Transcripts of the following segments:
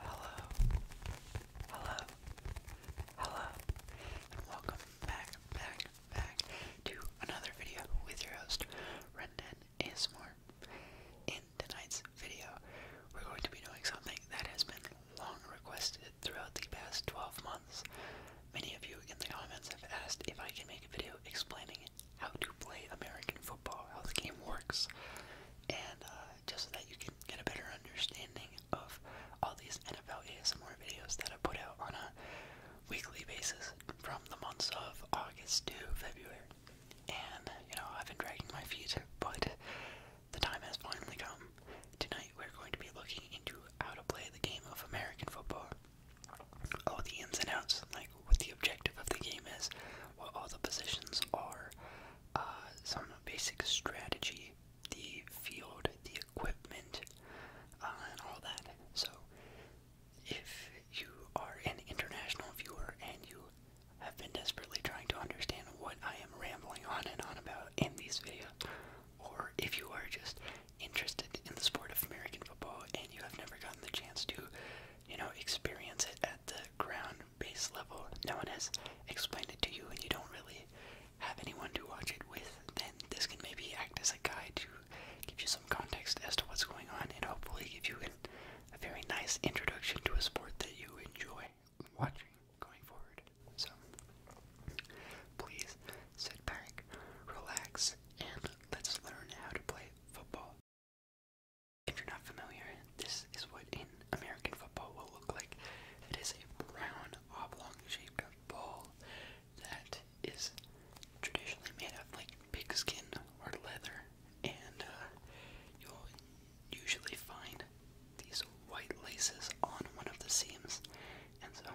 Hello, hello, hello, and welcome back, back, back to another video with your host, Rendon ASMR. In tonight's video, we're going to be doing something that has been long requested throughout the past 12 months. Many of you in the comments have asked if I can make a video explaining how to play American football, how the game works, and uh, just so that you can get a better understanding of all these NFL ASMR videos that I put out on a weekly basis from the months of August to February. And, you know, I've been dragging my feet, but the time has finally come. Tonight we're going to be looking into how to play the game of American football. All the ins and outs, like what the objective of the game is, what all the positions are, uh, some basic strategy, the field, the equipment, uh, and all that. So, if you are an international viewer and you have been desperately trying to understand what I am rambling on and on about in these videos, or if you are just interested in the sport of American football and you have never gotten the chance to, you know, experience it at the ground base level, no one has explained it to you, and you don't really have anyone to watch it with, then this can maybe act as a guide to give you some context as to what's going on and hopefully give you a very nice introduction to a sport that you enjoy watching going forward. So, please sit back, relax, and let's learn how to play football. If you're not familiar, this is what in American football will look like. It is a brown, oblong-shaped ball that is traditionally made of like pigskin or leather, and uh, you'll usually find these white laces on one of the seams. And so,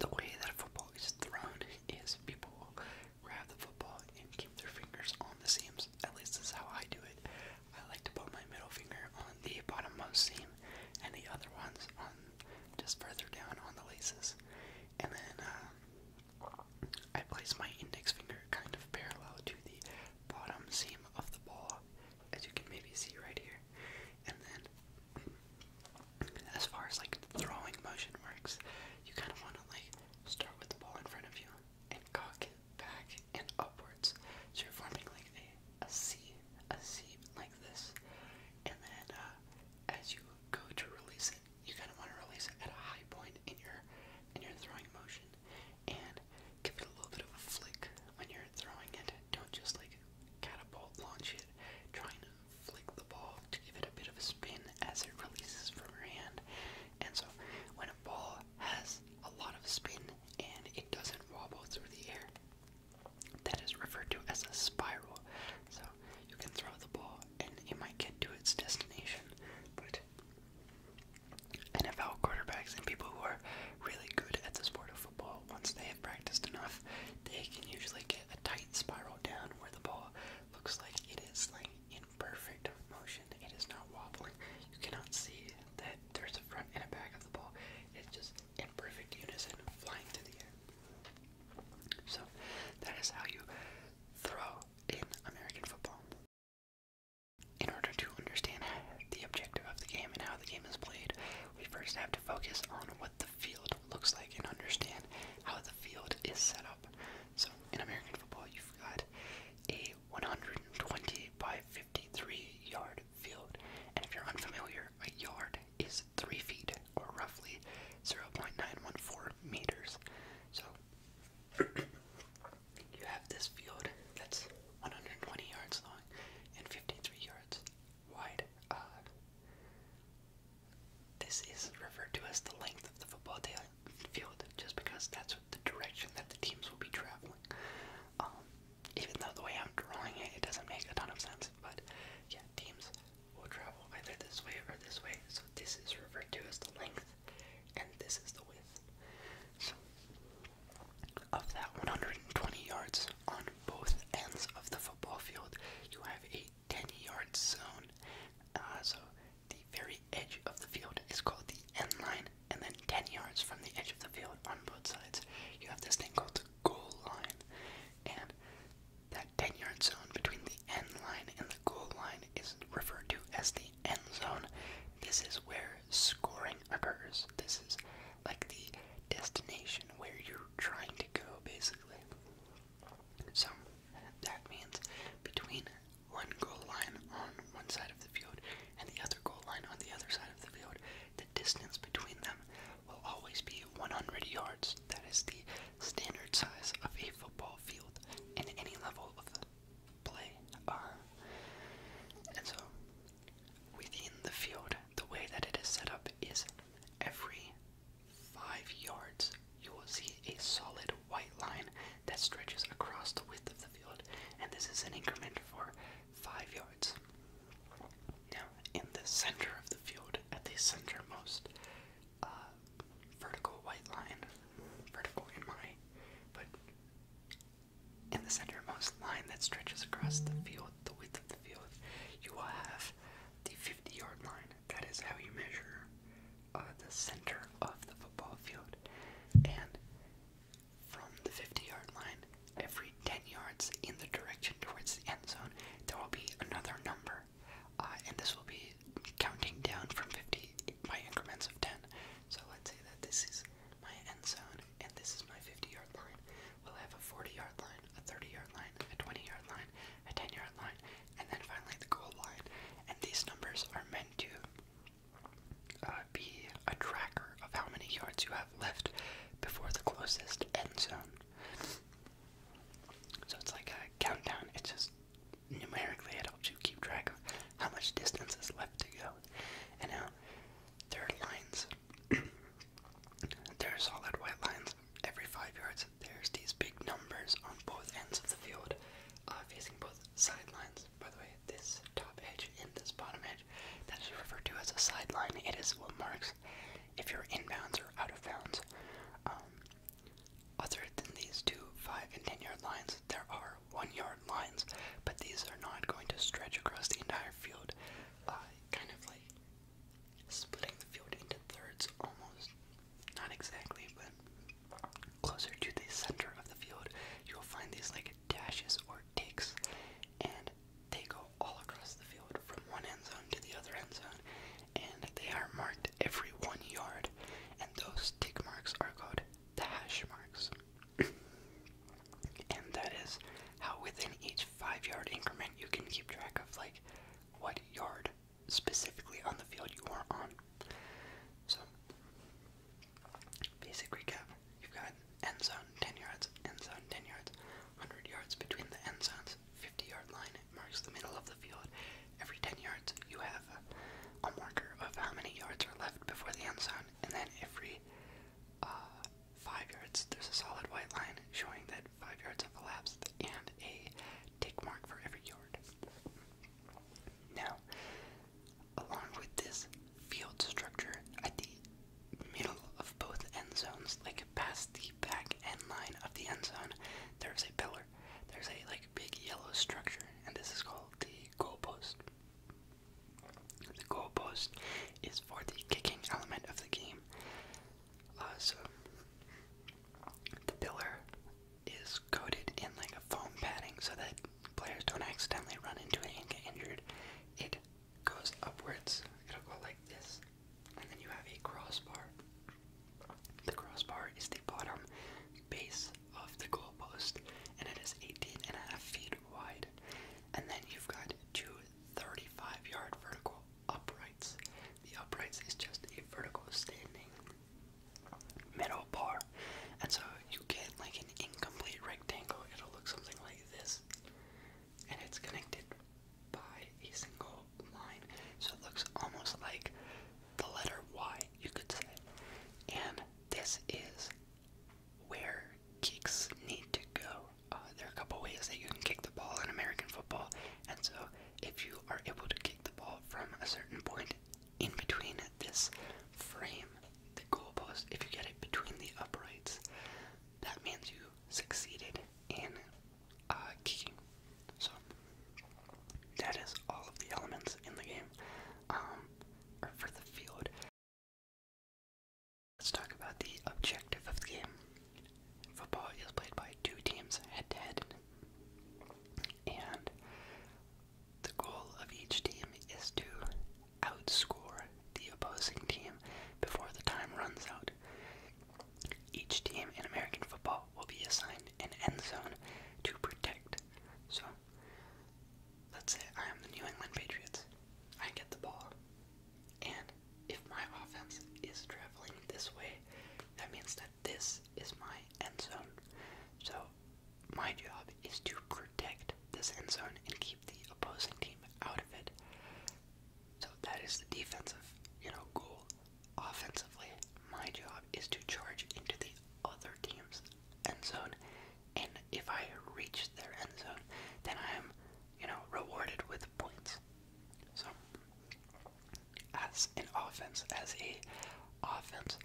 the way that a football is thrown is people will grab the football and keep their fingers on the seams. At least that's how I do it. I like to put my middle finger on the bottommost seam and the other ones on just further down on the laces. And then uh, I place my index finger kind of parallel to the bottom seam of the ball, as you can maybe see right here. And then, as far as like throwing motion works, you kind of want to like start with the ball in front of you and cock it back and upwards. So you're forming like a, a C, a C like this. And then uh, as you go to release it, you kind of want to release it at a high point in your in your throwing motion, and give it a little bit of a flick when you're throwing it. Don't just like catapult launch it. Try and flick the ball to give it a bit of a spin as it releases from your hand. And so when a ball has a lot of spin and it doesn't wobble through the air. That is referred to as a spiral. So you can throw the ball and it might get to its destination. But NFL quarterbacks and people who are really good at the sport of football, once they have practiced enough, they can usually get a tight spiral down where the ball looks like it is like in perfect motion. It is not wobbling. You cannot see that there's a front and a back of the ball. It's just in perfect unison flying through the air. So that is how you throw in American football. In order to understand the objective of the game and how the game is played, we first have to focus on what the field looks like and understand how the field is set up. So in American football, you've got a 120 by 53 yard field. And if you're unfamiliar, a yard is 3 feet, or roughly 0.914 meters. So you have this field that's 120 yards long and 53 yards wide. Uh, this is referred to as the length of the football field just because that's the direction that the teams will be traveling. Um, even though the way I'm drawing it, it doesn't make a ton of sense, but yeah, teams will travel either this way or this way. So this is referred to as the length, and this is the width. So of that 120 yards on both ends of the football field, you have a 10 yard zone. Uh, so the very edge of the field is called the end line, and then 10 yards from the edge of the field on both sides, you have this thing called the goal line. And that 10 yard zone between the end line and the goal line is referred to as the end zone. This is where scoring occurs. This is like the destination where you're trying to go, basically. So that means between one goal line on one side of the field and the other goal line on the other side of the field, the distance between them will always be 100 yards. That is the standard size of a football field in any level of play. and so, within the field, the way that it is set up is every five yards you will see a solid white line that stretches across the width of the field, and this is an increment for 5 yards. Now, in the center of the field, at the centermost uh, vertical white line, vertical in my, but in the centermost line that stretches across the field, the width of the field, you will have the 50 yard line. That is how you measure uh, the center of the football field. And from the 50 yard line, every 10 yards in the direction towards the end zone, there will be another number. Uh, and this will be counting down from 50 by increments of 10. So let's say that this is my end zone and this is my 50 yard line. We'll have a 40 yard line, a 30 yard line, a 20 yard line, a 10 yard line, and then finally the goal line. And these numbers are meant to uh, be a tracker of how many yards you have left before the closest end zone. So it's like a countdown. It's just numerically it helps you keep track of how much distance is left to go. And now there are lines. there are solid white lines every five yards. There's these big numbers on both ends of the field, uh, facing both sidelines by the way, this top edge and this bottom edge, that is referred to as a sideline. It is what marks if you're inbounds or out of bounds. Um, other than these two five and ten yard lines, there are one yard lines, but these are not going to stretch across the entire field. kind of like splitting the field into thirds almost. Not exactly, but closer to the center of the field, you'll find these like dashes or ticks, and they go all across the field from one end zone to the other end zone, and they are marked every one yard, and those tick marks are called dash marks. and that is how within each five yard increment you can keep track of like what yard specifically on the field you are on. So Basic recap you've got end zone 10 yards, end zone 10 yards, 100 yards between the end zones, 50 yard line marks the middle of the field. Every 10 yards, you have a, marker of how many yards are left before the end zone, and then every uh, 5 yards, there's a solid white line showing that 5 yards have elapsed and a tick mark for every yard. Now, Along with this field structure at the middle of both end zones, like past the back end line of the end zone, there's a pillar. There's a like big yellow structure, and this is called the goalpost. The goalpost is for the kicking element of the game. Uh, the pillar is coated in like a foam padding so that players don't accidentally run into it and get injured, it goes upwards. It'll go like this, and then you have a crossbar. The crossbar is the bottom base of the goalpost, and it is 18 and a half feet wide. And then you've got two 35-yard vertical uprights. The uprights is just a vertical standing middle bar, and so you get like an incomplete rectangle, it'll look something like this. And it's connected by a single line. So it looks almost like the letter Y, you could say. And this is where kicks need to go. Uh, there are a couple ways that you can kick the ball in American football. And so if you are able to kick the ball from a certain point in between this frame the goalpost, if you get it between the uprights, that means you succeeded in uh, kicking. So that is all of the elements in the game, um, for the field. Let's talk about the objective of the game. Football is played by two teams head to head, and the goal of each team is to outscore the opposing team before the time runs out. Each team in American football will be assigned an end zone to protect. So, let's say I am the New England Patriots. I get the ball. And if my offense is traveling this way, that means that this is my end zone. So, my job is to protect protect this end zone and keep the opposing team out of it. So that is the defensive, you know, goal. Offensively, my job is to charge into the other team's end zone, and if I reach their end zone, then I am, you know, rewarded with points. So, as an offense, as a offense,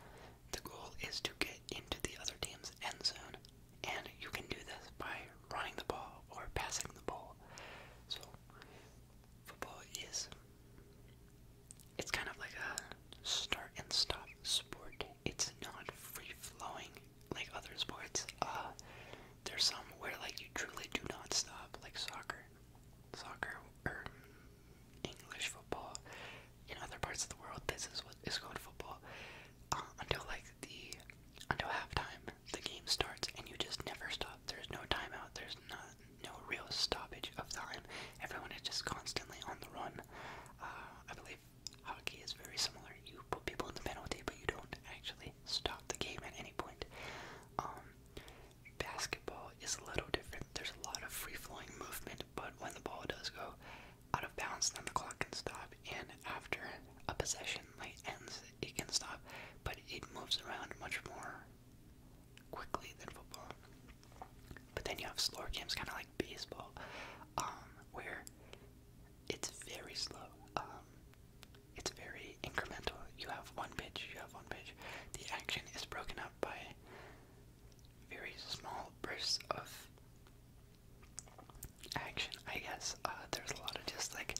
the goal is to get into the other team's end zone and you can do this by running the ball or passing the ball. So football is it's kind of like a start and stop sport. It's not free flowing like other sports. Uh, there's some where like you truly do not stop, like soccer. Soccer or English football in other parts of the world, this is what is called football. Uh, until like the until halftime, the game starts, and you just never stop. There's no timeout. There's not no real stoppage of time. Everyone is just constantly on the run. Uh, I believe hockey is very similar. You put people in the penalty, but you don't actually stop the game at any point. Um, basketball is a little different. There's a lot of free flowing movement, but when the ball does go, out of bounds, then the clock can stop. And after a possession like ends, it can stop, but it moves around much more quickly than football. But then you have slower games, kind of like baseball, um, where it's very slow. Um, it's very incremental. You have one pitch, you have one pitch. The action is broken up by very small bursts of action, I guess. Uh, there's a lot of just like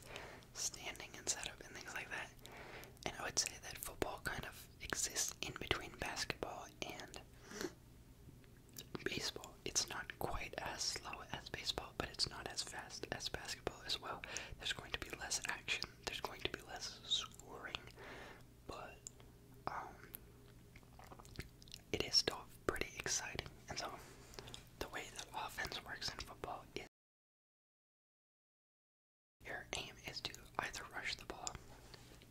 standing and setup and things like that. And I would say that football kind of exists in between basketball and baseball. It's not quite as slow as baseball, but it's not as fast as basketball as well. There's going to be less action, there's going to be less scoring, but um, it is still pretty exciting. And so, the way that offense works in football is your aim is to either rush the ball,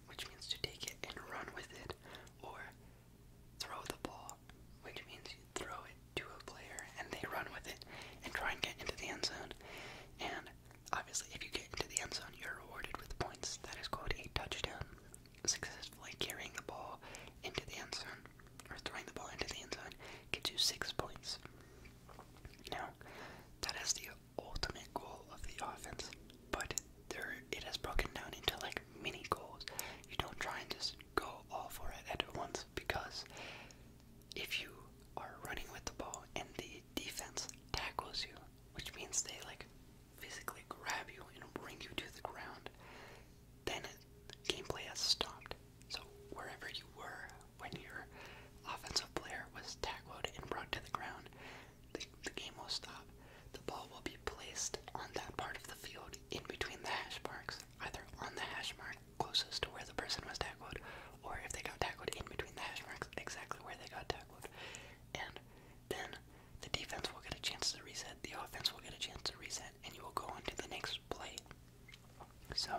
which means to take it and run with it, or throw the ball, which means you throw it to a player and they run with it and try and get into the end zone. And obviously, if you get into the end zone, you're rewarded with points. That is called a touchdown successfully carrying the ball into the end zone, or throwing the ball into the end zone, gives you six points. Now, that is the ultimate goal of the offense, but there has broken down into like mini goals. You don't try and just go all for it at once because if you are running with the ball and the defense tackles you, which means they like physically grab you and bring you to the ground, then gameplay has stopped. So wherever you were when your offensive player was tackled and brought to the ground, the, the game will stop. The ball will be placed on that part of the field in between the hash marks, either on the hash mark closest to where the person was tackled, or if they got tackled in between the hash marks, exactly where they got tackled. And then the defense will get a chance to reset, the offense will get a chance to reset, and you will go on to the next play. So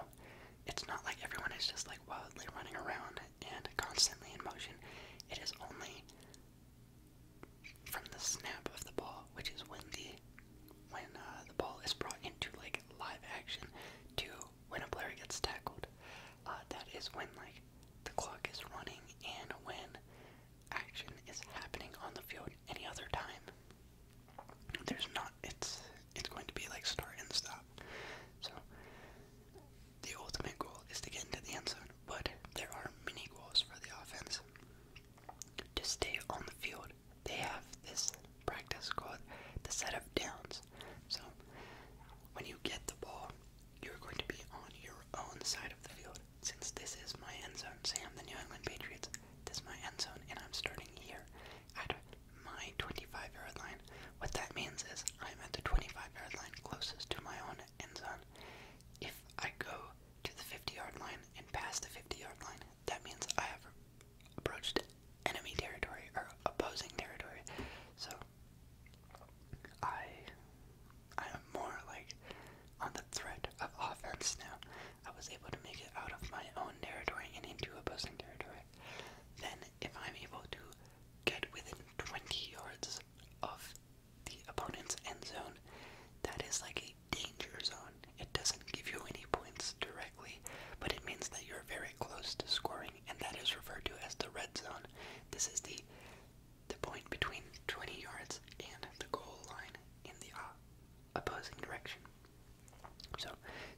it's not like everyone is just like wildly running around and constantly in motion. It is only from the snap of the ball, which is when the when uh, the ball is brought into like live action to when a player gets tackled. Uh, that is when like the clock is running and when action is happening on the field any other time. There's not it's it's going to be like start and stop. So the ultimate goal is to get into the end zone, but there are many goals for the offense. To stay on the field, they have this practice called the set of downs. So when you get the ball, you're going to be on your own side of the field. Since this is my end zone, say I'm the New England Patriots, this is my end zone, and I'm starting here at my 25 yard line. What that means is I'm at the 25 yard line closest to my own end zone. If I go to the 50 yard line and pass the 50 yard line, that means I have approached enemy territory or opposing territory. So I I am more like on the threat of offense now. I was able to make it out of my own territory and into opposing territory. Then, if I'm able to get within 20 yards of the opponent's end zone, that is like a danger zone. It doesn't give you any points directly, but it means that you're very close to scoring, and that is referred to as the red zone. This is the the point between 20 yards and the goal line in the uh, opposing direction. So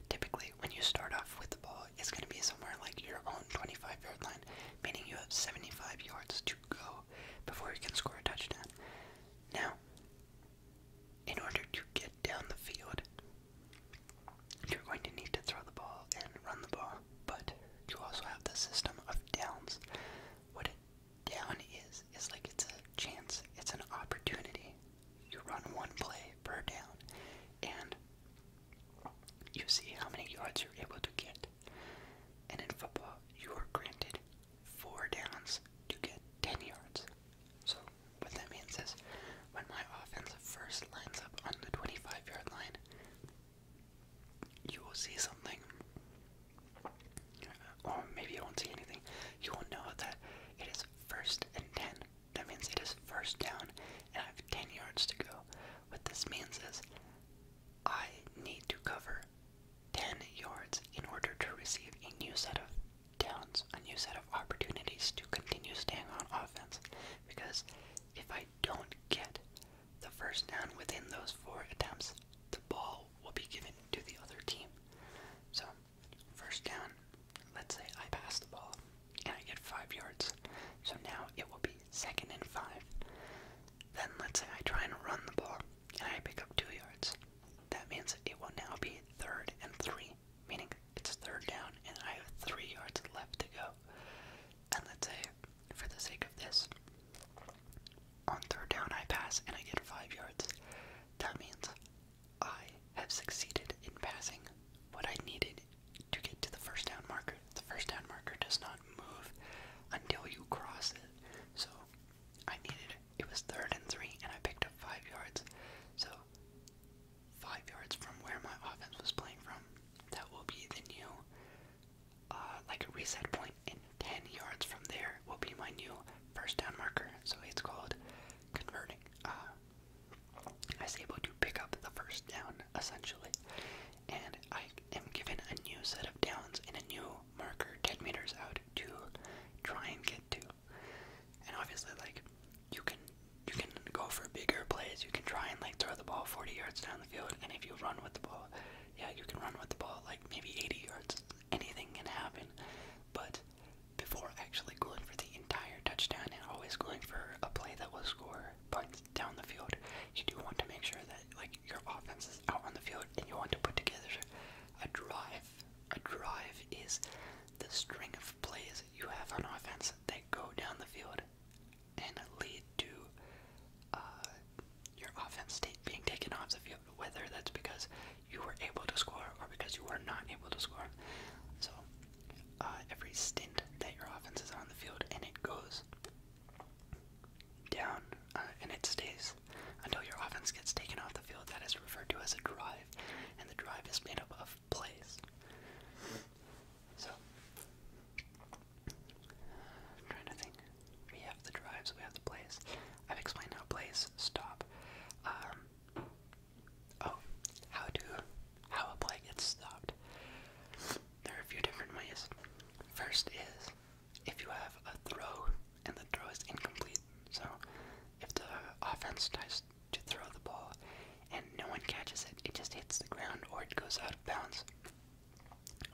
typically, when you start off with the ball, it's going to be somewhere like your own 25 yard line, meaning you have 75 yards to go before you can score a touchdown. Now, in order to get down the field, you're going to need to throw the ball and run the ball, but you also have the system of downs. What down is is like it's a chance, it's an opportunity. You run one play per down, and you see how many yards you're able to get. And in football, you are granted four downs to get 10 yards. So, what that means is when my offense first lines up on the 25 yard line, you will see something or maybe you won't see anything. You will know that it is first and ten. That means it is first down, and I have ten yards to go. What this means is I need to cover ten yards in order to receive a new set of downs, a new set of opportunities to continue staying on offense. Because if I don't get the first down within those four attempts, the ball will be given to the other team. So, first down, let's say I pass the ball and I get five yards. So now it will be second and five. Then let's say I try and run the ball and I pick up two yards. That means it will now be third and three, meaning it's third down and I have three yards left to go. And let's say, for the sake of this, on third down, I pass and I get five yards. That means I have succeeded in passing what I needed to get to the first down marker. The first down marker does not move until you cross it. So I needed it was third and three, and I picked up five yards. So five yards from where my offense was playing from. That will be the new uh, like a reset point, and 10 yards from there will be my new first down marker. So it's called converting. Uh, I am able to pick up the first down essentially, and I am given a new set of downs and a new marker 10 meters out to try and get to. And obviously, like you can you can go for bigger plays. You can try and like throw the ball 40 yards down the field, and if you run with the ball, yeah, you can run with the ball like maybe 80 yards anything can happen. But before actually going for the entire touchdown and always going for a play that will score points down the field, you do want to make sure that like your offense is out on the field and you want to put together a drive. A drive is the string of plays you have on offense that go down the field and lead to uh, your offense take, being taken off the field, whether that's because you were able to score or because you were not able to score. So uh, every stint that your offense is on the field and it goes down uh, and it stays until your offense gets taken off the field, that is referred to as a drive, and the drive is made up of plays. So, trying to think. We have the drives, we have the plays. I've explained how plays stop. Um, oh, how to how a play gets stopped. There are a few different ways. First is if you have a throw and the throw is incomplete. So if the offense tries to throw the ball and no one catches it, it just hits the ground or it goes out of bounds.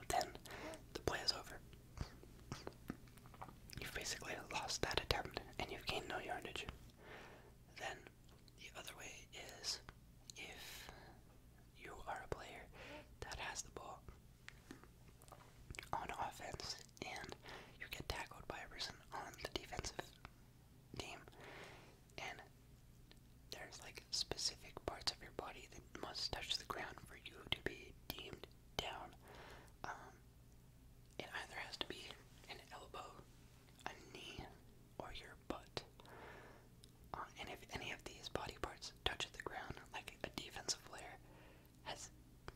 Then the play is over. You've basically lost that attempt and you've gained no yardage. Then the other way is if you are a player that has the ball on offense and you get tackled by a person on the defensive team and there's like specific parts of your body that must touch the ground for you to be deemed down. Um, it either has to be an elbow, a knee, or your butt. Uh, and if any of these body parts touch the ground, like a defensive player has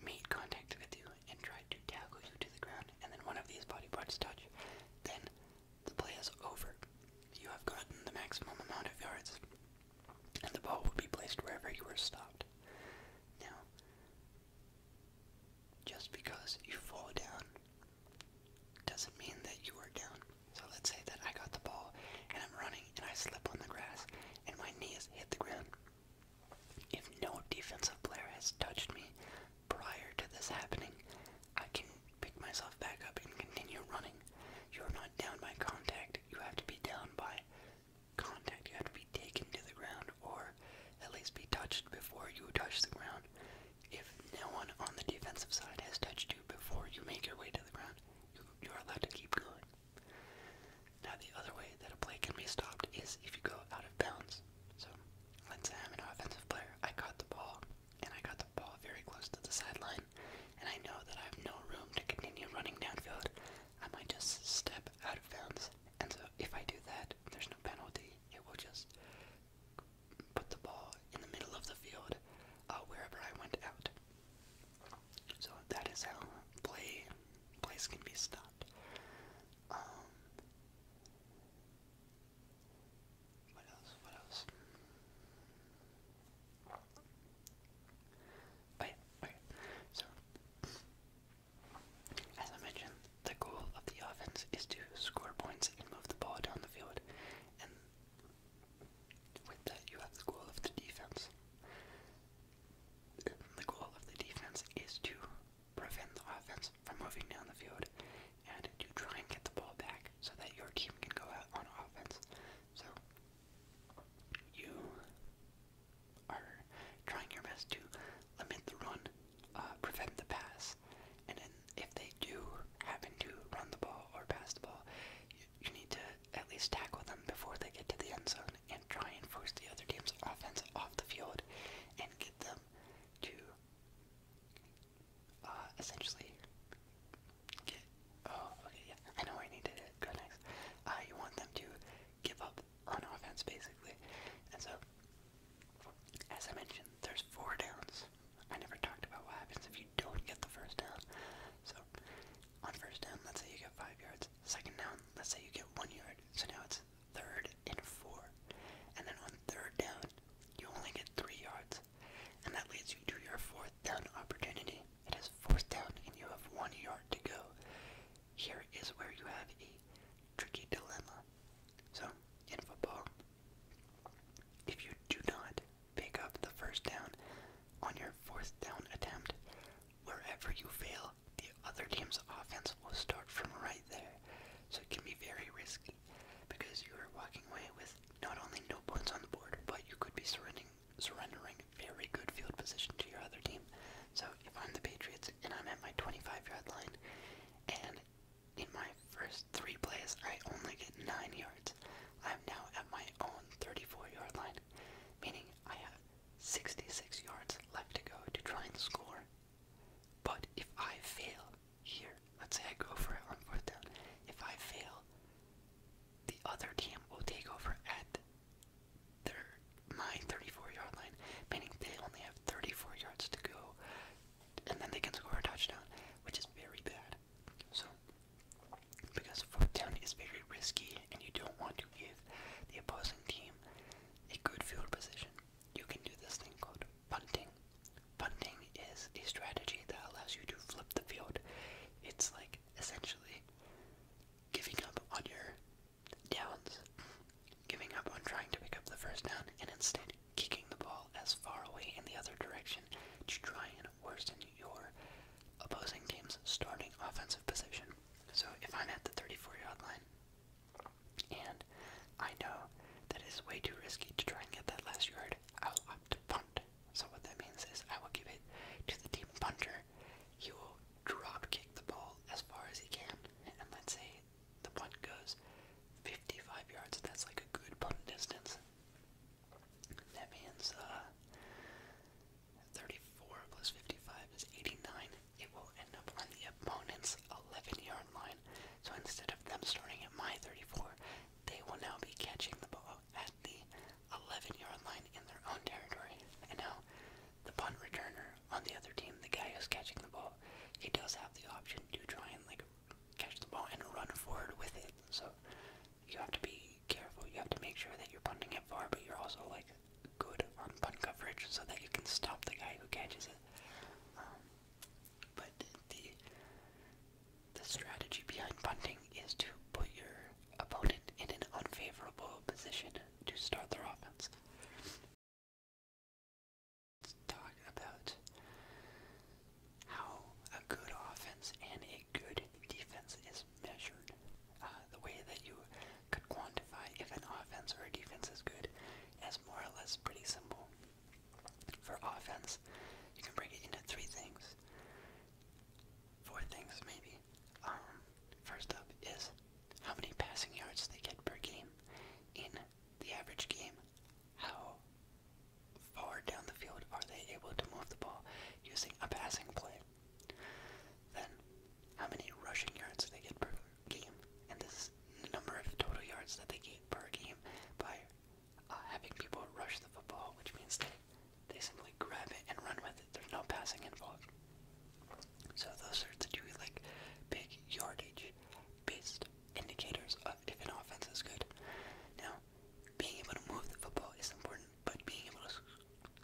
made contact with you and tried to tackle you to the ground, and then one of these body parts touch, then the play is over. You have gotten the maximum amount of yards and the ball will be placed wherever you were stopped. Now, just because you fall down doesn't mean that you are down. So let's say that I got the ball and I'm running and I slip on the grass and my knees hit the ground. If no defensive player has touched me prior to this happening, I can pick myself back up and continue running. You are not down by contact, you have to be down by contact. You to be taken to the ground or at least be touched before you touch the ground. If no one on the defensive side has touched you before you make your way to the ground, you, are allowed to keep going. Now, the other way that a play can be stopped is if you go out of bounds. So, let's say I'm an offensive player. I caught the ball, and I got the ball very close to the sideline, and I know that I have no room to continue running downfield. I might just step out of bounds, and so if I do that, there's no penalty. It will just put the ball in the middle of the field uh, wherever I went out. So that is how play plays can be stopped. Um, what else? What else? Oh, oh So, as I mentioned, the goal of the offense is to score points and move the ball down the field. And with that, you have the goal of the defense. And the goal of the defense is to prevent the offense from moving down the field and to try and get the ball back so that your team can go out on offense. So, you are trying your best to limit the run, uh, prevent the pass, and then if they do happen to run the ball or pass the ball, you, need to at least tackle them before they get to the end zone and try and force the other team's offense off the field and get them to uh, essentially Oh, okay, yeah. I know I need to go next. Uh, you want them to give up on offense, basically. And so, as I mentioned, there's four downs. I never talked about what happens if you don't get the first down. So, on first down, let's say you get five yards. Second down, let's say you get one yard. So now it's third and four. And then on third down, you only get three yards. And that leads you to your fourth down opportunity. It is fourth down, and you have one yard to go here is where you have a tricky dilemma. So, in football, if you do not pick up the first down on your fourth down attempt, wherever you fail, the other team's offense will start from right there. So it can be very risky because you are walking away with not only no points on the board, but you could be surrendering surrendering very good field position to your other team. So if I'm the Patriots and I'm at my 25 yard line, and in my first three plays I only get 9 yards, I'm now at my own 34 yard line, meaning I have 66 yards left to go to try and score. But if I fail here, let's say I go for it on fourth down, if I fail, the other team will take over at their my 34 yard line, meaning they only have 34 yards to go, and then they can score a touchdown, which is very bad. So, because fourth down is very risky, and you don't want to give the opposing team a good field position, you can do this thing called punting. Punting is a strategy that allows you to flip the field. It's like essentially giving up on your Downs, giving up on trying to pick up the first down and instead kicking the ball as far away in the other direction to try and worsen your opposing team's starting offensive position. So if I'm at the 34 yard line and I know that it's way too risky to try and get that last yard, I will opt to punt. So what that means is I will give it to the team punter. He will drop kick the ball as far as he can, and let's say the punt goes 55 yards, that's like a good punt distance. That means uh, 34 plus 55 is 89. It will end up on the opponent's 11 yard line. So instead of them starting at my 34, they will now be catching the ball at the 11 yard line in their own territory. And now the punt returner on the other team, the guy who's catching the ball, he does have the option to try and like catch the ball and run forward with it. So you have to be careful. You have to make sure that you're punting it far, but you're also like good on punt coverage so that you can stop the guy who catches it. Um, but the the strategy behind punting is to put your opponent in an unfavorable position to start their offense. Let's talk about how a good offense and a good defense is measured. Uh, the way that you could quantify if an offense or a defense is good is more or less pretty simple. For offense, you can break it into three things. Four things, maybe. Um, first up is how many passing yards they get per game in the average game, how far down the field are they able to move the ball using a passing play, then how many rushing yards they get per game, and this number of total yards that they get per game by uh, having people rush the football, which means they, they simply grab it and run with it. There's no passing involved. So those are the two like big yardage based indicators of if an offense is good. Now, being able to move the football is important, but being able to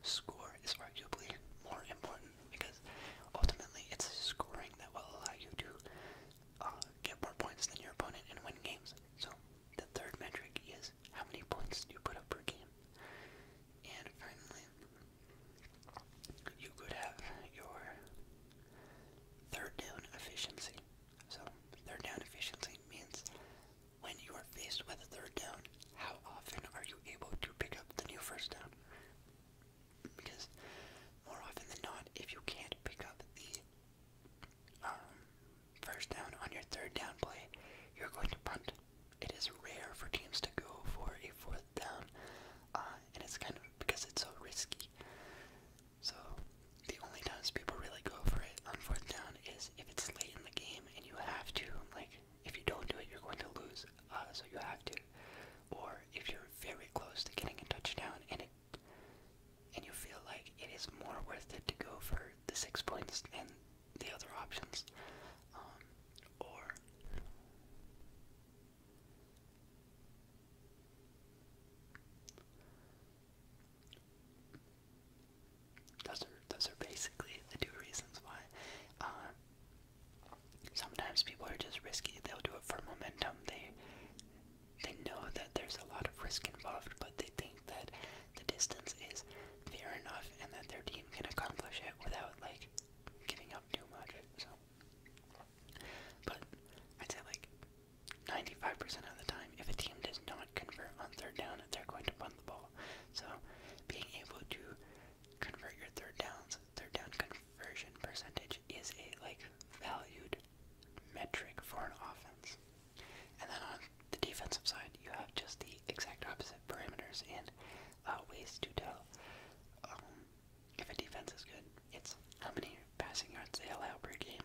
score is arguably more important because ultimately it's scoring that will allow you to uh, get more points than your opponent and win games. So the third metric is how many points do you put up per game. And finally, you could have your third down efficiency. So, third down efficiency means when you are faced with a third down, how often are you able to pick up the new first down? Because more often than not, if you can't pick up the um, first down on your third down play, you're going to punt it is rare for teams to go for a fourth down, uh, and it's kind of because it's so risky. So the only times people really go for it on fourth down is if it's late in the game and you have to, like if you don't do it, you're going to lose, uh, so you have to, or if you're very close to getting a touchdown and it and you feel like it is more worth it to go for the six points than the other options. Um, or those are those are basically the two reasons why. Uh, sometimes people are just risky. They'll do it for momentum. They they know that there's a lot of risk involved, but they think that the distance is fair enough and that their team can accomplish it without like giving up too much, so. But I'd say like 95% of the time, if a team does not convert on third down, they're going to punt the ball. So being able to convert your third downs, third down conversion percentage is a like valued metric for an offense. And then on the defensive side, you have just the exact opposite parameters, and uh, ways to tell um, if a defense is good. It's how many passing yards they allow per game,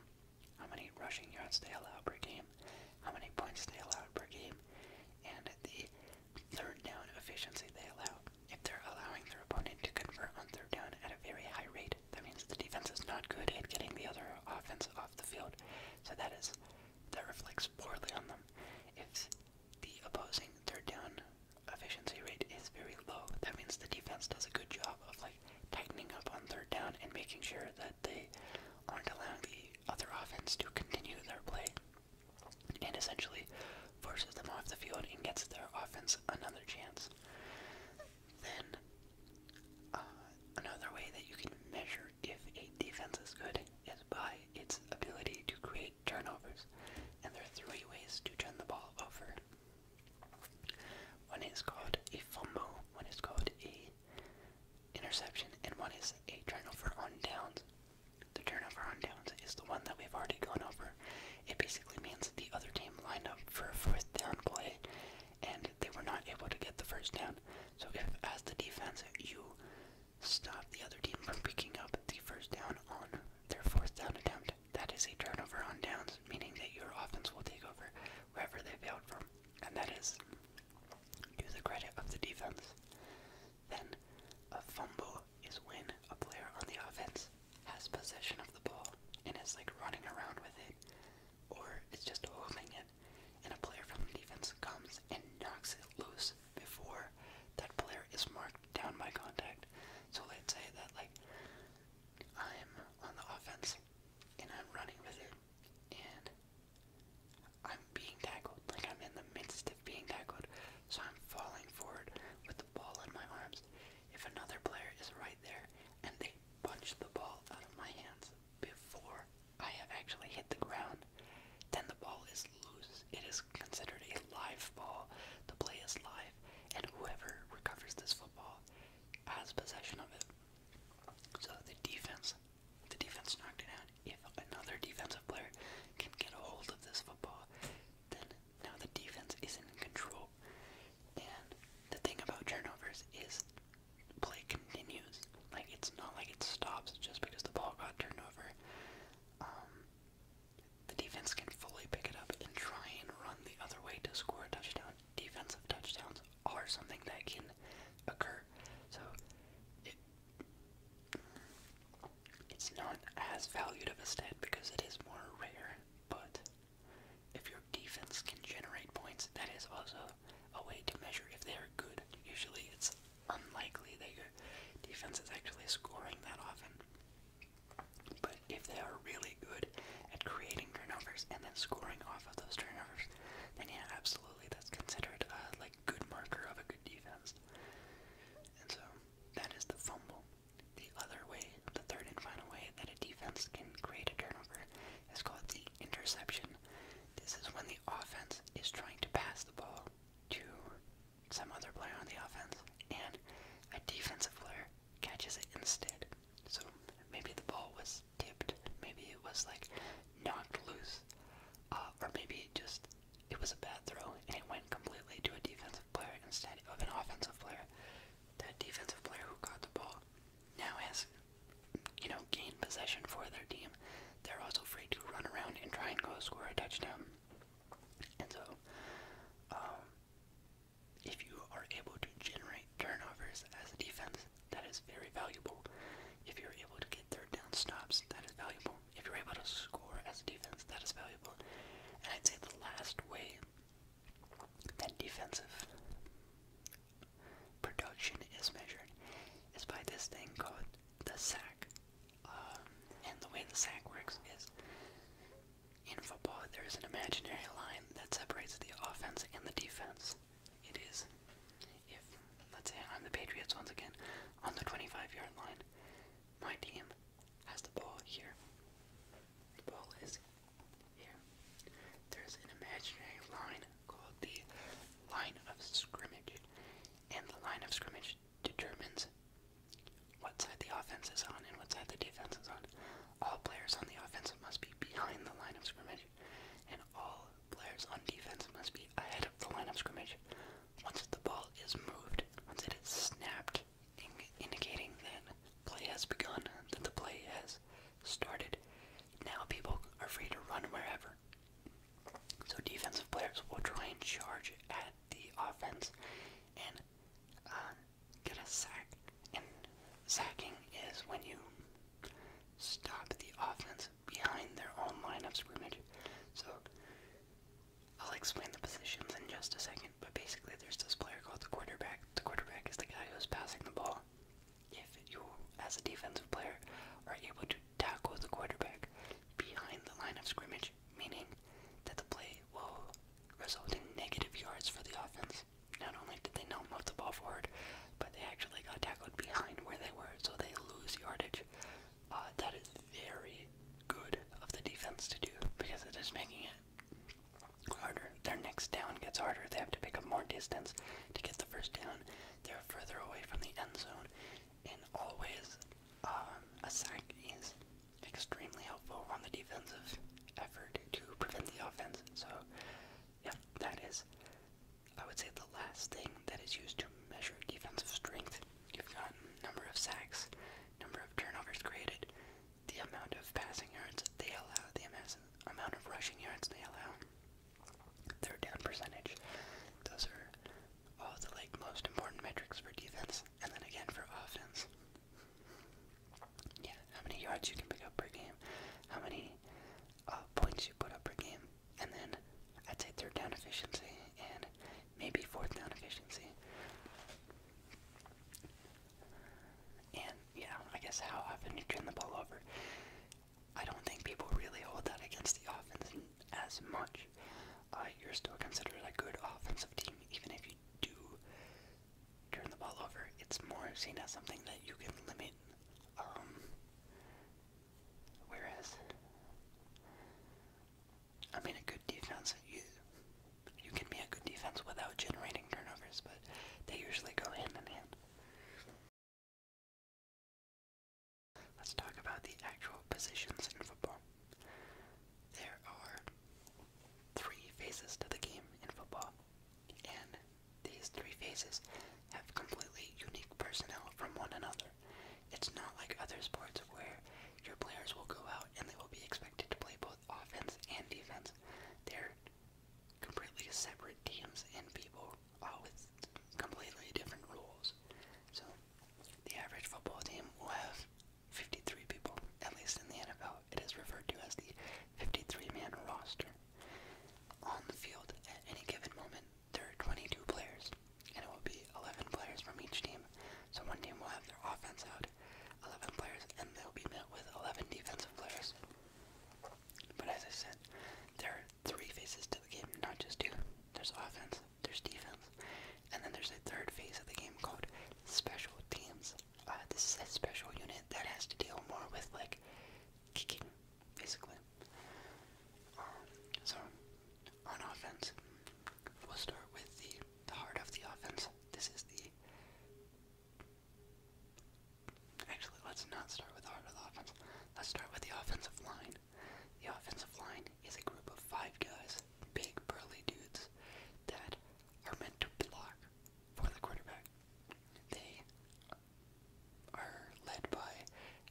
how many rushing yards they allow per game, how many points they allow per game, and the third down efficiency they allow. If they're allowing their opponent to convert on third down at a very high rate, that means the defense is not good at getting the other offense off the field. So that is that reflects poorly on them the opposing third down efficiency rate is very low. That means the defense does a good job of like tightening up on third down and making sure that they aren't allowing the other offense to continue their play and essentially forces them off the field and gets their offense another chance. Then uh, another way that you can measure if a defense is good is by its ability to create turnovers, and there are three ways to turn the ball over. One is called a fumble, one is called a interception, and one is a turnover on downs. The turnover on downs is the one that we've already gone over. It basically means that the other team lined up for a fourth down play and they were not able to get the first down. So if as the defense you stop the other team from picking up the first down on their fourth down attempt. That is a turnover on downs, meaning that your offense will take over wherever they failed from, and that is to the credit of the defense. Then, a fumble is when a player on the offense has possession of the ball and is like running around with it, or is just holding it, and a player from the defense comes and knocks it loose before that player is marked down by contact. So let's say that like I'm on the offense and I'm running with it and I'm being tackled. Like I'm in the midst of being tackled. So I'm falling forward with the ball in my arms. If another player is right there and they punch the ball out of my hands before I have actually hit the ground, then the ball is loose. It is considered a live ball. The play is live, and whoever recovers this football has possession of it. So the defense, the defense knocked it out. If another defensive player can get a hold of this football, then now the defense is in control. And the thing about turnovers is play continues. Like it's not like it stops just because the ball got turned over. Um, the defense can fully pick it up and try and run the other way to score a touchdown. Defensive touchdowns are something that can occur. So it's not as valued of a stat because it is more rare, but if your defense can generate points, that is also a way to measure if they are good. Usually it's unlikely that your defense is actually scoring that often. But if they are really good at creating turnovers and then scoring off of those turnovers, then yeah, absolutely, that's considered a like good marker of a good defense. And so that is the fumble. The other way, the third and final way that a defense can create a turnover is called the interception. This is when the offense is trying to pass the ball to some other player on the offense, and a defensive player catches it instead. So maybe the ball was tipped, maybe it was like knocked loose, uh, or maybe it just it was a bad throw and it went completely to a defensive player instead of an offensive player. That defensive player who caught the ball now has you know gained possession for their team. They're also free to run around and try and go score a touchdown. And so, um, if you are able to generate turnovers as a defense, that is very valuable. If you're able to get third down stops, that is valuable. If you're able to score as a defense, that is valuable. And I'd say the last way that defensive production is measured is by this thing called the sack. Um, and the way the sack works is in football, there is an imaginary line that separates the offense and the defense. It is, if, let's say I'm the Patriots once again, on the 25 yard line, my team has the ball here. The ball is here. There's an imaginary line called the line of scrimmage. And the line of scrimmage determines what side the offense is on and what side the defense is on. All players on the offense must be behind the line of scrimmage, and all players on defense must be ahead of the line of scrimmage. Once the ball is moved, once it is snapped, indicating that play has begun, that the play has started, now people are free to run wherever. So defensive players will try and charge at the offense and uh, get a sack. And sacking is when you stop the offense behind their own line of scrimmage. So I'll explain the positions in just a second, but basically there's this player called the quarterback. The quarterback is the guy who's passing the ball. If you, as a defensive player, are able to tackle the quarterback behind the line of scrimmage, meaning that the play will result in negative yards for the offense. Not only did they not move the ball forward, but they actually got tackled behind where they were, so they lose yardage. Uh, that is very good of the defense to do because it is making it harder. Their next down gets harder. They have to pick up more distance to get the first down. They're further away from the end zone, and always um, a sack is extremely helpful on the defensive effort to prevent the offense. So, yeah, that is, I would say, the last thing that is used to measure defensive strength. You've got number of sacks, number of turnovers created, the amount of passing yards they allow, the amount of rushing yards they allow, third down percentage. Those are all the like most important metrics for defense, and then again for offense. Yeah, how many yards you can pick up per game, how many uh, points you put up per game, and then I'd say third down efficiency and maybe fourth down efficiency. And yeah, I guess how often you turn the ball over. I don't think people really hold that against the offense as much. Uh, you're still considered a good offensive team, even if you do turn the ball over. It's more seen as something that you can limit. Um, whereas, I mean, a good defense, you, you can be a good defense without generating turnovers, but they usually go hand in hand. Let's talk about the actual positions in football. There are three phases to the game in football, and these three phases have completely unique personnel from one another. It's not like other sports where your players will go out and they will be expected to play both offense and defense. They're completely separate teams and people, all with completely different rules. So, the average football team will have 53 people, at least in the NFL. It is referred to as the 53 man roster. On the field, at any given moment, there are 22 players, and it will be 11 players from each team. So one team will have their offense out, 11 players, and they'll be met with 11 defensive players. But as I said, there are three phases to the game, not just two. There's offense, there's defense, and then there's a third phase of the game called special teams. Uh, this is a special unit that has to deal more with like kicking, basically. Um, so on offense, we'll start with the, the heart of the offense. This is the Actually, let's not start with heart of the offense. Let's start with the offensive line. The offensive line Nine is a group of five guys, big burly dudes, that are meant to block for the quarterback. They are led by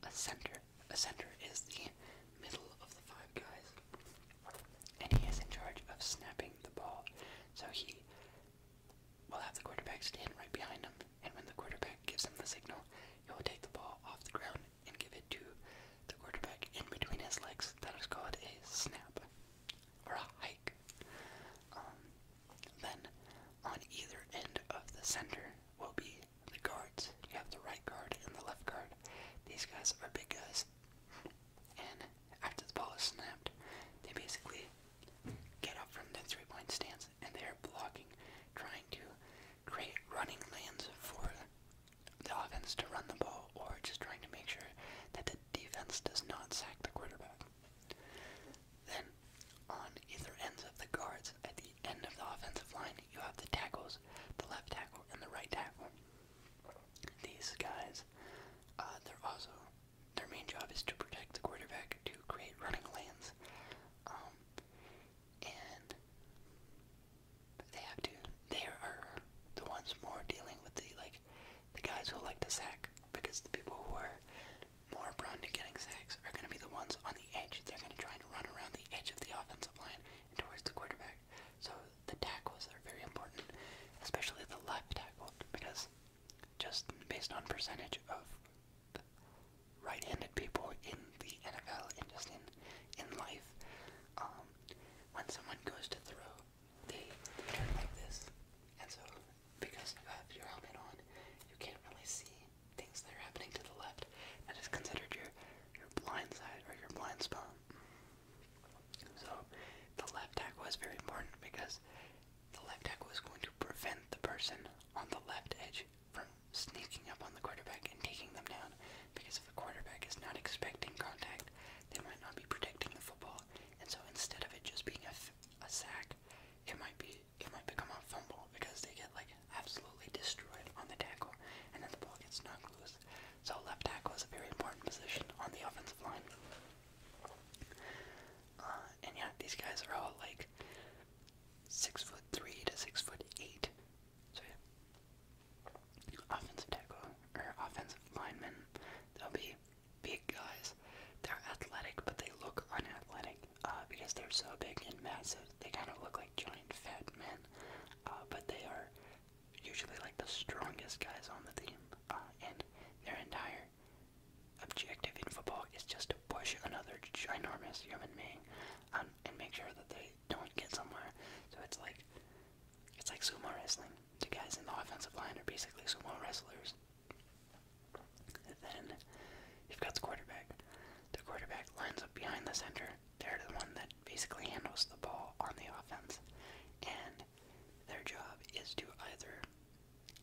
a center. A center is the middle of the five guys, and he is in charge of snapping the ball. So he will have the quarterback stand right behind him, and when the quarterback gives him the signal, he will take the ball off the ground and give it to the quarterback in between his legs. That is called a snap or a hike. Um, then on either end of the center will be the guards. You have the right guard and the left guard. These guys are big guys. And after the ball is snapped, they basically get up from the three point stance and they are blocking, trying to create running lanes for the offense to run the ball or just trying to make sure that the defense does not sack the quarterback. Then, on either ends of the guards, at the end of the offensive line, you have the tackles, the left tackle and the right tackle. These guys, uh, they're also, their main job is to protect the quarterback, to create running lanes, um, they have to. They are the ones more dealing with the like the guys who like to sack because the people who are more prone to getting sacks are going to be the ones on the edge. They're going to try and run around the edge of the offensive line towards the quarterback. So the tackles are very important, especially the left tackle, because just based on percentage of right-handed people in the NFL and just in in life, um, when someone goes to throw, they turn like this. And so, because you have your helmet on, you can't really see things that are happening to the left. and That is considered your, your blind side or your blind spot. So, the left tackle was very important because the left tackle was going to prevent the person on the left edge from sneaking up on the quarterback and taking them down. Because the quarterback is not expecting contact, they might not be protecting the football, and so instead of it just being a, a sack, it might be it might become a fumble because they get like absolutely destroyed on the tackle, and then the ball gets knocked loose. So left tackle is a very important position on the offensive line. Uh, and yeah, these guys are all like six foot three to six foot eight. So yeah offensive tackle or offensive linemen. They'll be big guys. They're athletic, but they look unathletic uh, because they're so big and massive. They kind of look like giant fat men, uh, but they are usually like the strongest guys on the team. Uh, and their entire objective in football is just to push another ginormous human being um, and make sure that they don't get somewhere. So it's like it's like sumo wrestling the guys in the offensive line are basically sumo wrestlers. then you've got the quarterback. The quarterback lines up behind the center. They're the one that basically handles the ball on the offense. And their job is to either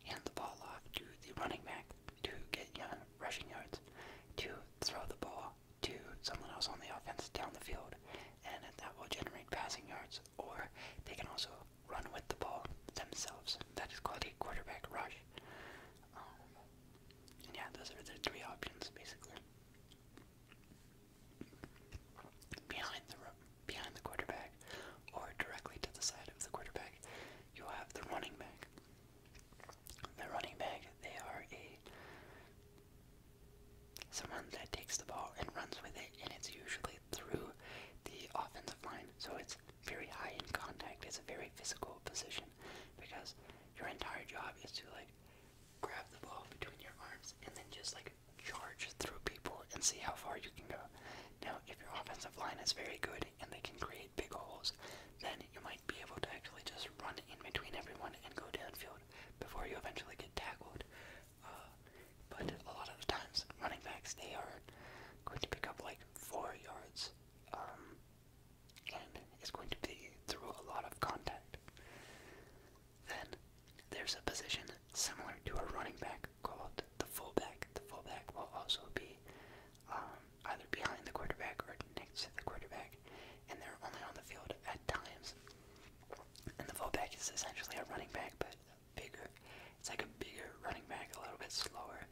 hand the ball off to the running back to get rushing yards, to throw the ball to someone else on the offense down the field, and that will generate passing yards, or they can also run with the ball themselves. That is called a quarterback rush. Um, yeah, those are the three options basically. Behind the behind the quarterback, or directly to the side of the quarterback, you have the running back. The running back, they are a someone that takes the ball and runs with it, and it's usually through the offensive line. So it's very high in contact. It's a very physical position because your entire job is to like grab the ball between your arms and then just like charge through people and see how far you can go. Now, if your offensive line is very good and they can create big holes, then you might be able to actually just run in between everyone and go downfield before you eventually get tackled but a lot of times, running backs, they are going to pick up like four yards. Um, and it's going to be through a lot of contact. Then there's a position similar to a running back called the fullback. The fullback will also be um, either behind the quarterback or next to the quarterback, and they're only on the field at times and the fullback is essentially a running back, but bigger. It's like a bigger running back, a little bit slower.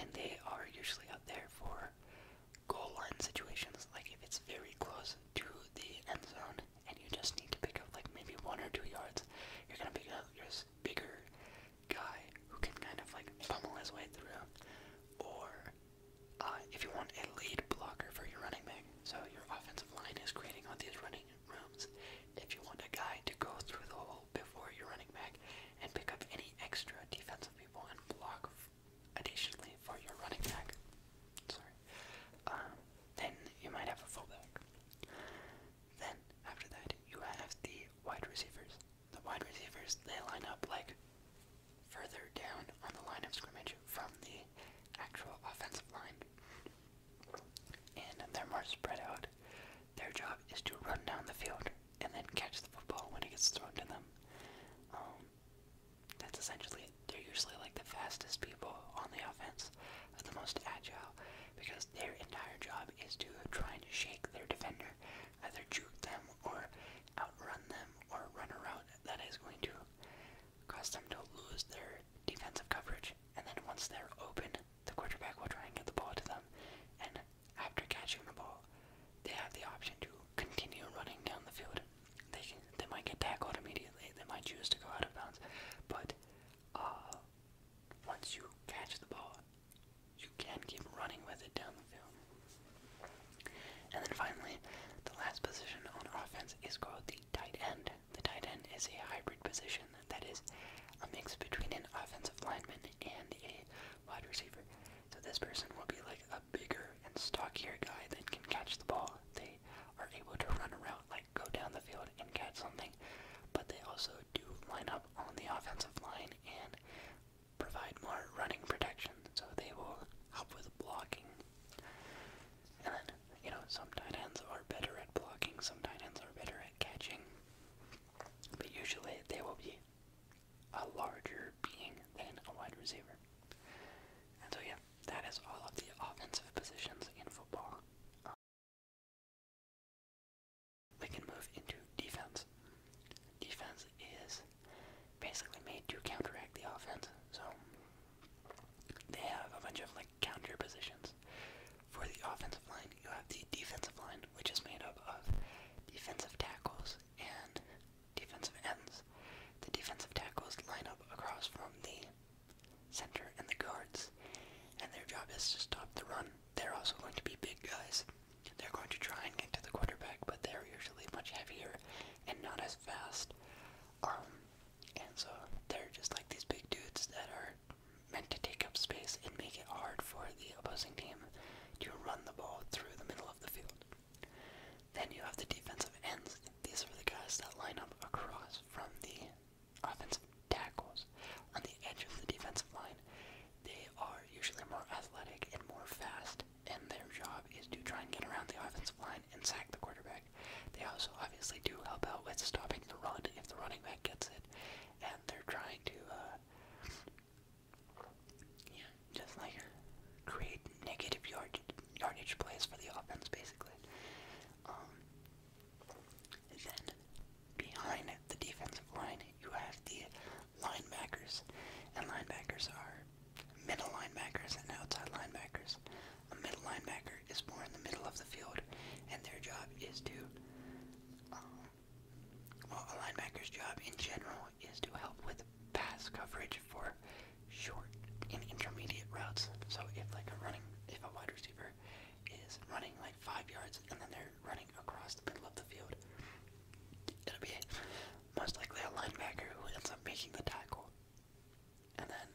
And they are usually up there for goal line situations. Like if it's very close to the end zone and you just need to pick up like maybe one or two yards, you're gonna pick up your bigger guy who can kind of like pummel his way through. Or uh, if you want a lead blocker for your running back, so your offensive line is creating all these running rooms. If you want a guy to go through the hole before your running back and pick up any extra defensive people and block additionally for your running back, sorry, um, then you might have a fullback. Then after that, you have the wide receivers. The wide receivers they line up like further down on the line of scrimmage from the actual offensive line and they're more spread out. Their job is to run down the field and then catch the football when it gets thrown to them. Um, that's essentially They're usually like the fastest people on the offense, uh, the most agile, because their entire job is to try and shake their defender, either juke them or outrun them or run around that is going to cause them to lose their their defensive coverage, and then once they're open, the quarterback will try and get the ball to them. And after catching the ball, they have the option to continue running down the field. They can, they might get tackled immediately. They might choose to go out of bounds, but uh, once you catch the ball, you can keep running with it down the field. And then finally, the last position on offense is called the tight end. The tight end is a hybrid position that is a mix between an offensive lineman and a wide receiver. So this person will be like a bigger and stockier guy that can catch the ball. They are able to run around, like go down the field and catch something, but they also do line up on the offensive line and provide more running protection. So they will help with blocking. And then you know, some tight ends are better at blocking, some tight ends are better at catching. But usually they will be a larger being than a wide receiver. And so, yeah, that is all of the offensive positions in football. Um, we can move into defense. Defense is basically made to counteract the offense. So, they have a bunch of like counter positions. For the offensive line, you have the defensive line, which is made up of defensive tackles and defensive ends. The defensive tackles line up across from the center and the guards, and their job is to stop the run. They're also going to be big guys. They're going to try and get to the quarterback, but they're usually much heavier and not as fast. Um, and so they're just like these big dudes that are meant to take up space and make it hard for the opposing team to run the ball through the middle of the field. Then you have the defensive ends. These are the guys that line up across from the offensive tackles. On the edge of the defensive line, they are usually more athletic and more fast, and their job is to try and get around the offensive line and sack the quarterback. They also obviously do help out with stopping the run if the running back gets it, and they're trying to, uh, yeah, just like create negative yard yardage plays for the offense, basically. Um, then behind the defensive line, you have the linebackers, and linebackers are middle linebackers and outside linebackers. A middle linebacker is more in the middle of the field, and their job is to, um, well, a linebacker's job in general is to help with pass coverage for short and intermediate routes. So if like a running, if a wide receiver is running like five yards and then they're running across the middle of the field, it'll be most likely a linebacker who ends up making the tackle. And then,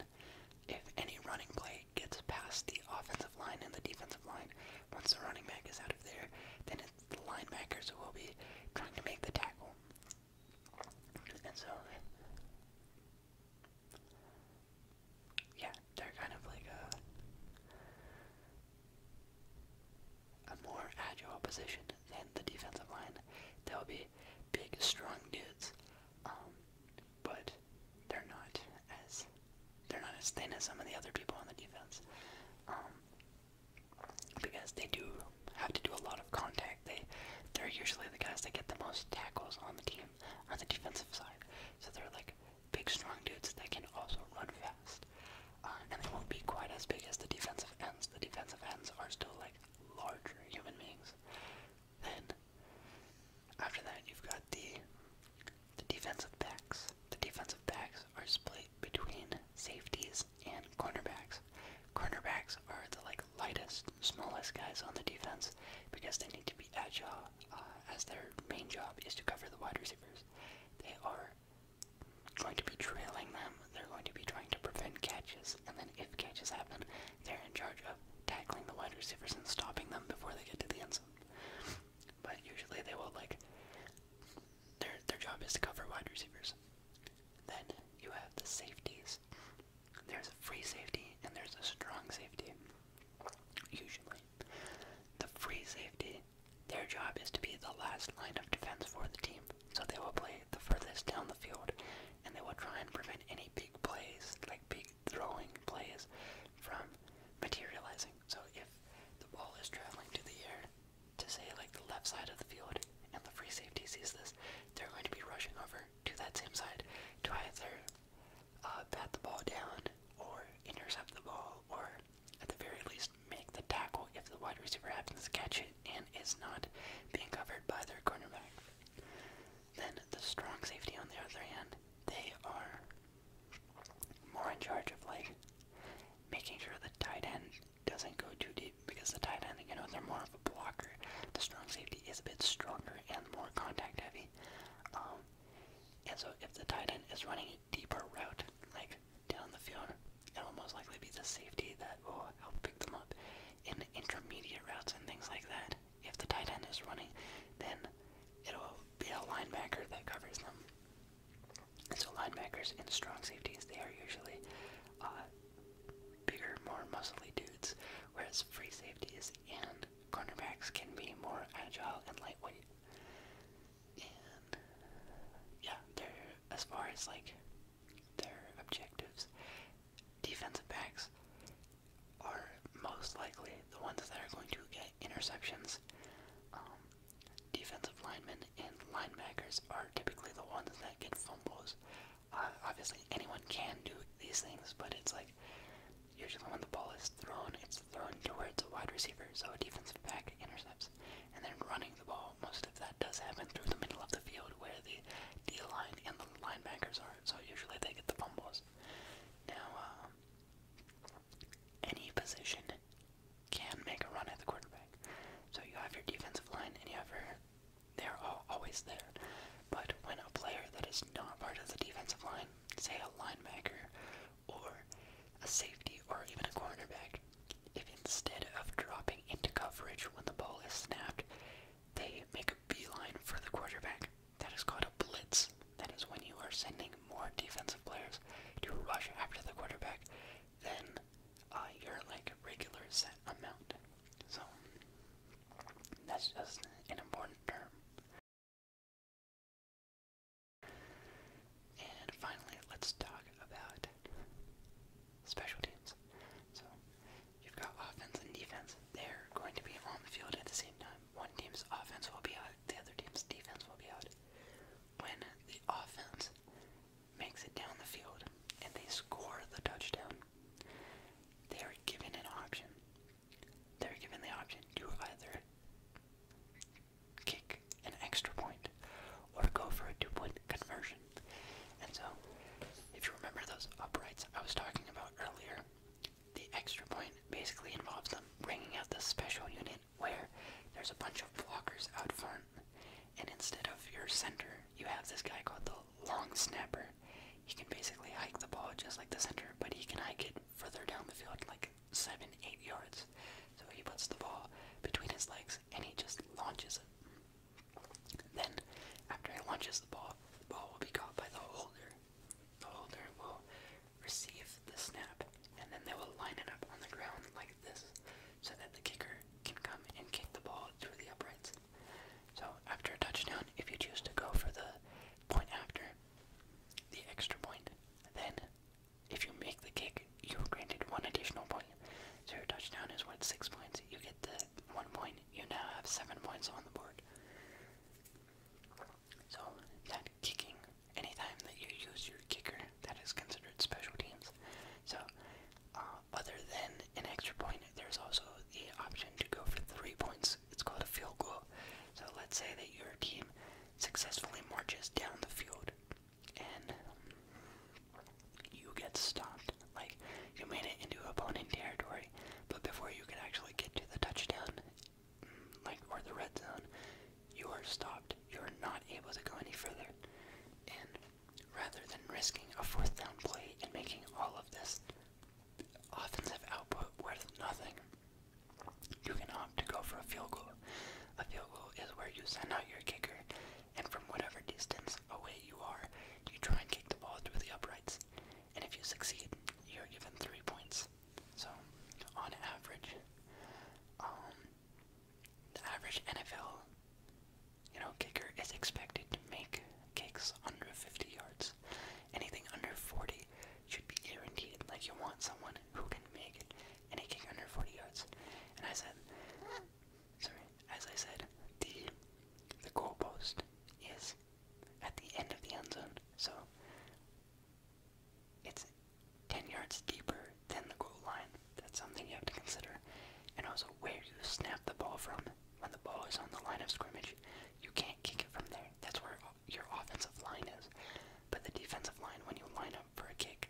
if any running play gets past the offensive line and the defensive line, once the running back is out of there, then it's the linebackers who will be trying to make the tackle. And so, yeah, they're kind of like a, more agile position than the defensive line. They'll be big, strong dudes um, but they're not as they're not as thin as some of the other people on the defense. Um, because they do have to do a lot of contact. They they're usually the guys that get the most tackles on the team on the defensive side. So they're like big strong dudes that can also run fast. Uh, and they won't be quite as big as the defensive ends. The defensive ends are still like larger human beings than after that, you've got the the defensive backs. The defensive backs are split between safeties and cornerbacks. Cornerbacks are the like lightest, smallest guys on the defense because they need to be agile, uh, as their main job is to cover the wide receivers. They are going to be trailing them. They're going to be trying to prevent catches, and then if catches happen, they're in charge of tackling the wide receivers and stopping them before they get to the end zone. But usually they will like their their job is to cover wide receivers. Then you have the safeties. There's a free safety and there's a strong safety. Usually. The free safety, their job is to be the last line of defense for the team. So they will play the furthest down the field and they will try and prevent any big plays, like big throwing plays from materializing. So if the ball is traveling to the air to say like the left side of the field and the free safety sees this, they're going to be rushing over to that same side to either uh, bat the ball down or intercept the ball or at the very least make the tackle if the wide receiver happens to catch it and is not being covered by their cornerback. Then the strong safety on the other hand, they are more in charge of like making sure the tight end doesn't go too deep because the tight end, you know, they're more of a blocker. The strong safety is a bit stronger and more contact heavy. Um, and so if the tight end is running a deeper route, like down the field, it'll most likely be the safety that will help pick them up in intermediate routes and things like that. If the tight end is running, then it'll be a linebacker that covers them. And So linebackers and strong safeties, they are usually uh, bigger, more muscly dudes, whereas free safeties and cornerbacks can be more agile and lightweight. And yeah, they're as far as like their objectives. Defensive backs, are most likely the ones that are going to get interceptions. Um, defensive linemen and linebackers are typically the ones that get fumbles. Uh, obviously, anyone can do these things, but it's like usually when the ball is thrown, it's thrown towards a wide receiver, so a defensive back intercepts. And then running the ball, most of that does happen through the middle of the field where the D line and the linebackers are, so usually they get the fumbles. Now, uh, any position can make a run at the quarterback. So you have your defensive line, and you have your. They're all always there. But when a player that is not part of the defensive line, say a linebacker or a safety or even a cornerback, if instead of dropping into coverage when the ball is snapped, they make a line for the quarterback, that is called a blitz. That is when you are sending more defensive players to rush after the quarterback than uh, your like regular set amount. So that's just an important term. And finally, let's talk about special teams. So you've got offense and defense. They're going to be on the field at the same time one team's offense will be out, the other team's defense will be out. When the offense makes it down the field and they score the touchdown, they are given an option. They're given the option to either kick an extra point or go for a two point conversion. And so, if you remember those uprights I was talking about earlier, the extra point basically involves them bringing out the special unit where there's a bunch of blockers out front, and instead of your center, you have this guy called the long snapper. He can basically hike the ball just like the center, but he can hike it further down the field, like seven, eight yards. So he puts the ball between his legs and he just launches it. Then, after he launches the ball, the ball will be caught by the holder. The holder will receive the snap and then they will line it up on the ground like this so that the kicker can come and kick the ball through the uprights. So after a touchdown, if you choose to go for the point after, the extra point, then if you make the kick, you're granted one additional point. So your touchdown is worth six points. You get the one point. You now have seven points on the board. So, that kicking, anytime that you use your kicker, that is considered special teams. So, uh, other than an extra point, there's also the option to go for three points. It's called a field goal. So, let's say that your team successfully marches down the field and you get stopped. Like, you made it into opponent territory, but before you can actually get to the touchdown, like or the red zone, you are stopped. You are not able to go any further. And rather than risking a fourth down play and making all of this offensive output worth nothing, you can opt to go for a field goal. A field goal is where you send out your kicker, and from whatever distance away you are, you try and kick the ball through the uprights. And if you succeed, you're given three points. So, on average, um, the average NFL, you know, kicker is expected to make kicks under 50 yards. Anything under 40 should be guaranteed. Like you want someone who can make any kick under 40 yards. And I said, sorry, as I said, the the goalpost is at the end of the end zone. So it's 10 yards deeper than the goal line. That's something you have to consider. And also where you snap the ball from. When the ball is on the line of scrimmage, you can't kick it from there. That's where your offensive line is. But the defensive line, when you line up for a kick,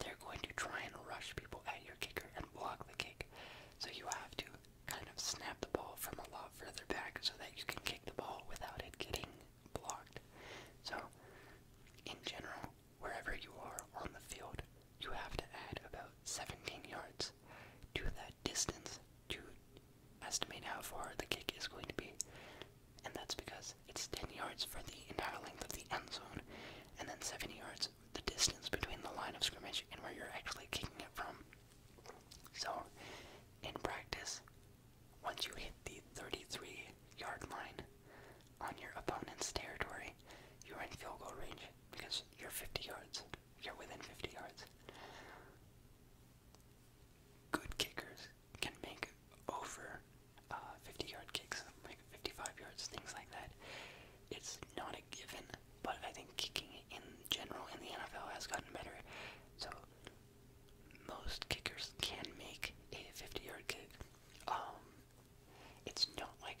they're going to try and rush people at your kicker and block the kick. So you have to kind of snap the ball from a low further back so that you can kick the ball without it getting blocked. So, in general, wherever you are on the field, you have to add about 17 yards to that distance to estimate how far the kick is going to be. And that's because it's 10 yards for the entire length of the end zone, and then 7 yards the distance between the line of scrimmage and where you're actually kicking it from. So, in practice, once you hit the 33 yard line on your opponent's territory, you're in field goal range because you're 50 yards. You're within 50 yards. Good kickers can make over uh, 50 yard kicks, like 55 yards, things like that. It's not a given, but I think kicking in general in the NFL has gotten better. So most kickers can make a 50-yard kick. Um, it's not like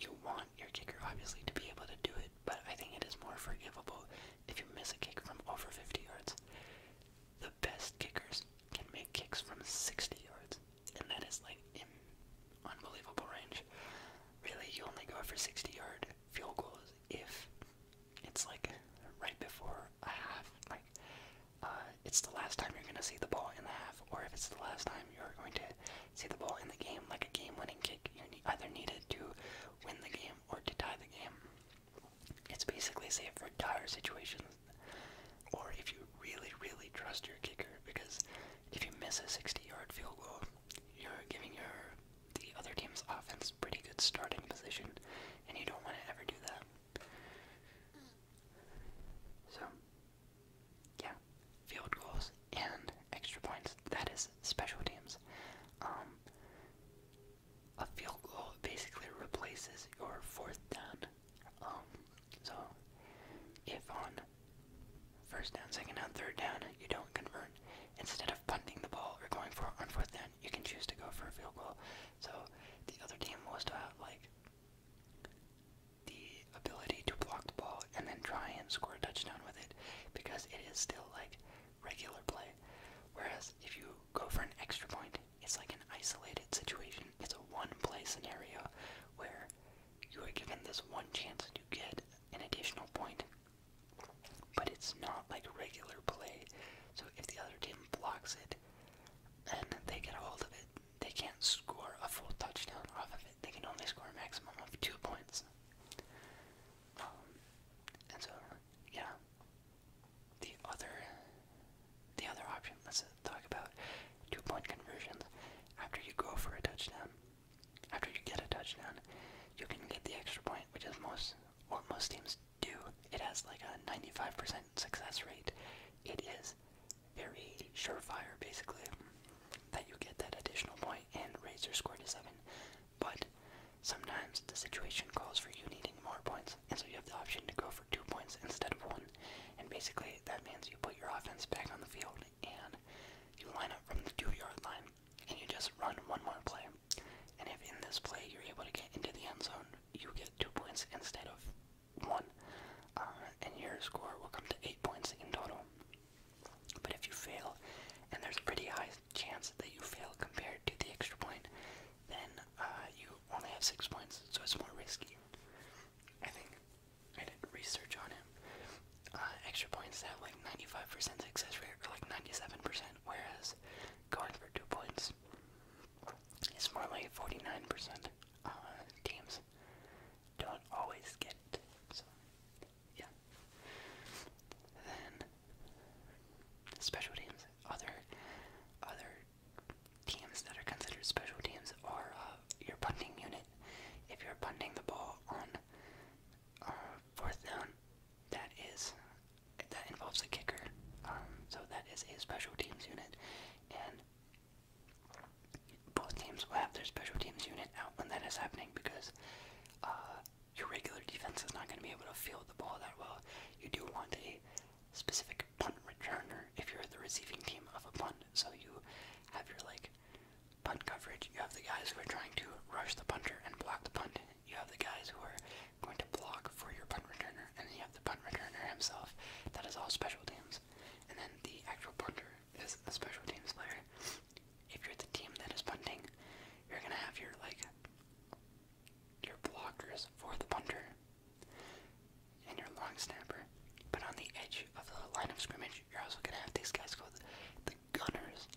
you want your kicker obviously to be able to do it, but I think it is more forgivable if you miss a kick from over 50 yards. The best kickers can make kicks from 60 yards, and that is like unbelievable range. Really, you only go for 60-yard field goals if it's like right before a half, like uh, it's the last time you're going to see the ball in the half, or if it's the last time you're going to see the ball in the game, like a game winning kick, you either need it to win the game or to tie the game. It's basically safe for dire situations, or if you really, really trust your kicker, because if you miss a 60 yard field goal, you're giving your the other team's offense pretty good starting position, and you don't want to ever do that. So, yeah, field goals and extra points. That is special teams. Um, a field goal basically replaces your fourth down. Um, so if on first down, second down, third down, you don't convert, instead of of the ball or going for on fourth down, you can choose to go for a field goal. So the other team was to have like the ability to block the ball and then try and score a touchdown with it because it is still like regular play. Whereas if you go for an extra point, it's like an isolated situation. It's a one play scenario where you are given this one chance to get an additional point but it's not like regular play. So if the other team blocks it and they get a hold of it, they can't score a full touchdown off of it. They can only score a maximum of two points. Um, and so, yeah. The other, the other option. Let's talk about two-point conversions. After you go for a touchdown, after you get a touchdown, you can get the extra point, which is most what most teams do. It has like a 95% success rate. It is very surefire, basically, that you get that additional point and raise your score to 7. But sometimes the situation calls for you needing more points, and so you have the option to go for 2 points instead of 1. And basically, that means you put your offense back on the field and you line up from the 2 yard line and you just run one more play. And if in this play you're able to get into the end zone, you get two points instead of one, uh, and your score will come to eight points in total. But if you fail, and there's a pretty high chance that you fail compared to the extra point, then uh, you only have six points, so it's more risky. I think I did research on it. Uh, extra points have like 95% success rate, or like 97% whereas going for two points is more like 49% uh, teams don't always get it. So, yeah. Then, special teams. Other, other teams that are considered special teams are uh, your punting unit. If you're punting the ball on uh, fourth down, that is that involves a kicker. Um, so that is a special teams unit, and both teams will have their special teams unit out when that is happening because uh, your regular defense is not going to be able to field the ball that well. You do want a specific punt returner if you're the receiving team of a punt, so you have your like punt coverage. You have the guys who are trying to rush the punter and block the punt, you have the guys who are going to block for your punt returner, and then you have the punt returner himself. That is all special teams. And then the actual punter is a special teams player. If you're the team that is punting, you're gonna have your like your blockers for the punter and your long snapper. But on the edge of the line of scrimmage, you're also gonna have these guys called the gunners.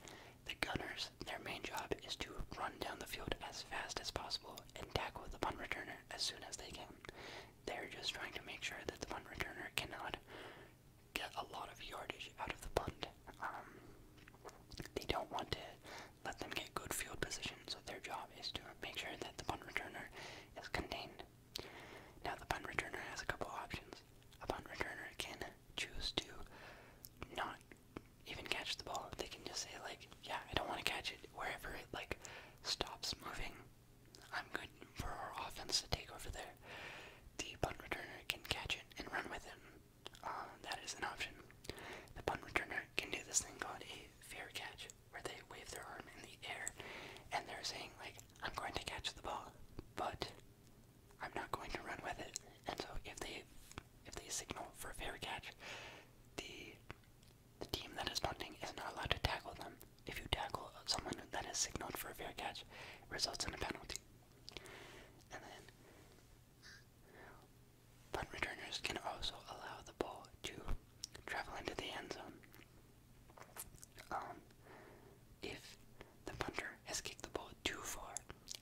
The gunners, their main job is to run down the field as fast as possible and tackle the punt returner as soon as they can. They're just trying to make sure that the punt returner cannot get a lot of yardage out of the punt. Um, they don't want to let them get good field position, so their job is to make sure that the punt returner is contained. Now, the punt returner has a couple options. A punt returner can choose to not even catch the ball. They can just say like, yeah, I don't want to catch it. Wherever it like stops moving, I'm good for our offense to take over there. The pun returner can catch it and run with it. Uh, that is an option. The pun returner can do this thing called a fair catch, where they wave their arm in the air and they're saying like, I'm going to catch the ball, but I'm not going to run with it. And so if they if they signal for a fair catch, the the team that is punting is not allowed to tackle them. If you tackle someone that is signaled for a fair catch, results in a penalty. And then punt returners can also allow the ball to travel into the end zone. Um, if the punter has kicked the ball too far,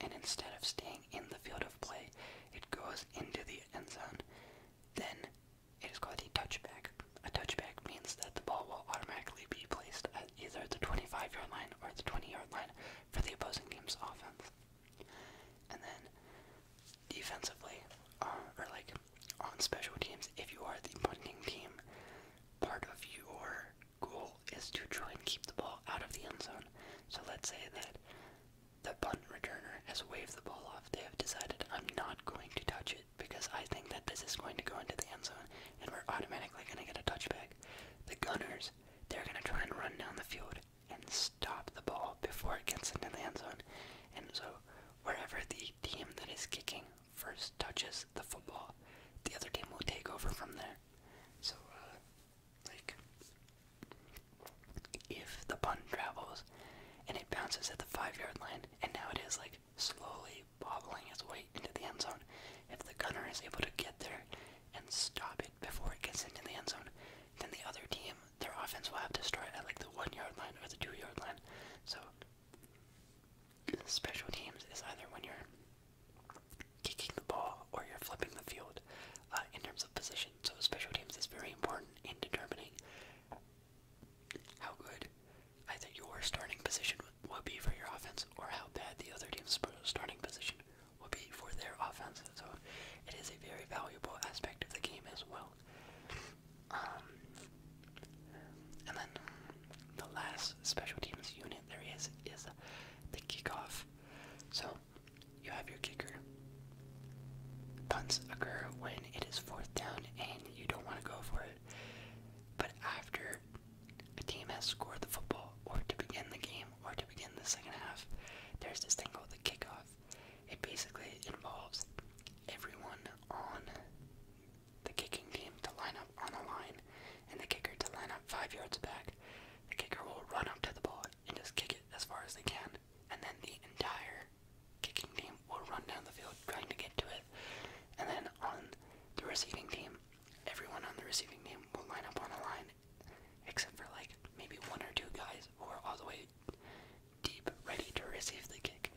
and instead of staying in the field of play, it goes into the end zone. Then it is called a touchback. A touchback means that the ball will automatically be placed at either the 25 yard line or the 20 yard line for the opposing team's offense. And then defensively, uh, or like on special teams, if you are the punting team, part of your goal is to try and keep the ball out of the end zone. So let's say that the punt returner has waved the ball off. They have decided, I'm not going to touch it because I think that this is going to go into the end zone and we're automatically going to get a touchback. The Gunners, they're going to try and run down the field and stop the ball before it gets into the end zone. And so, wherever the team that is kicking first touches the football, the other team will take over from there. So, uh, like, if the punt travels and it bounces at the five yard line, and now it is like slowly bobbling its way into the end zone, if the gunner is able to get there and stop it before it gets into the end zone, then the other team, their offense will have to start at like the one yard line or the two yard line. So, special teams is either when you're kicking the ball or you're flipping the field uh, in terms of position. So special teams is very important in determining how good either your starting position will be for your offense or how bad the other team's starting position will be for their offense. So it is a very valuable aspect of the game as well. Um, and then the last special teams unit there is is the kickoff. So you have your kicker. Punts occur when it is fourth down and you don't want to go for it, but after a team has scored the football, or to begin the game, or to begin the second half, there's this thing called the kickoff. It basically involves everyone on the kicking team to line up on a line and the kicker to line up five yards back. The kicker will run up to the ball and just kick it as far as they can. And then the entire kicking team will run down the field trying to get to it. And then on the receiving team, everyone on the receiving team will line up on a line, except for like maybe one or two guys who are all the way deep, ready to receive the kick.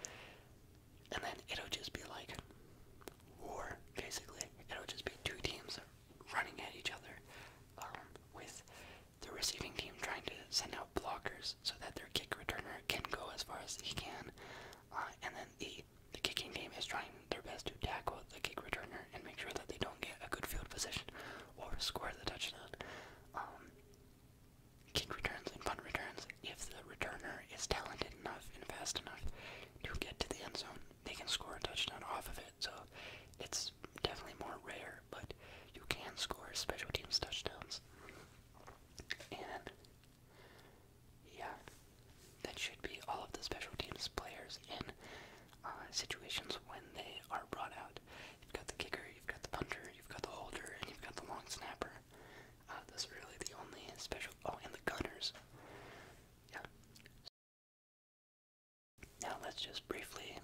And then it'll just be like war, basically. It'll just be two teams running at each other, um, with the receiving team trying to send out blockers so that their kick returner can go as far as he can, uh, and then the the kicking team is trying their best to tackle the kick returner and make sure that they don't get a good field position or score the touchdown. Um, kick returns and punt returns, if the returner is talented enough and fast enough to get to the end zone, they can score a touchdown off of it. So it's definitely more rare, but you can score special teams touchdowns. And yeah, that should be all of the special teams players in uh, situations when they are brought out. You've got the kicker, you've got the punter, you've got the holder, and you've got the long snapper. Uh, those really the only special. Oh, and the gunners. Yeah. Now let's just briefly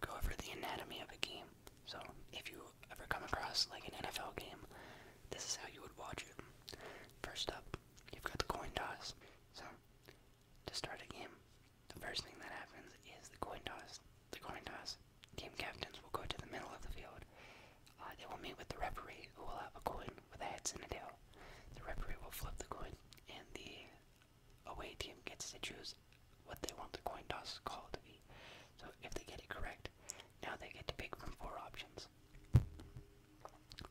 go over the anatomy of a game. So if you ever come across like an NFL game, this is how you would watch it. First up, you've got the coin toss. So to start a game, the first thing that happens is the coin toss. The coin toss. Team captains will go to the middle of the field. Uh, they will meet with the referee, who will have a coin with a heads and a tail. The referee will flip the coin, and the away team gets to choose what they want the coin toss call to be. So if they get it correct, now they get to pick from four options.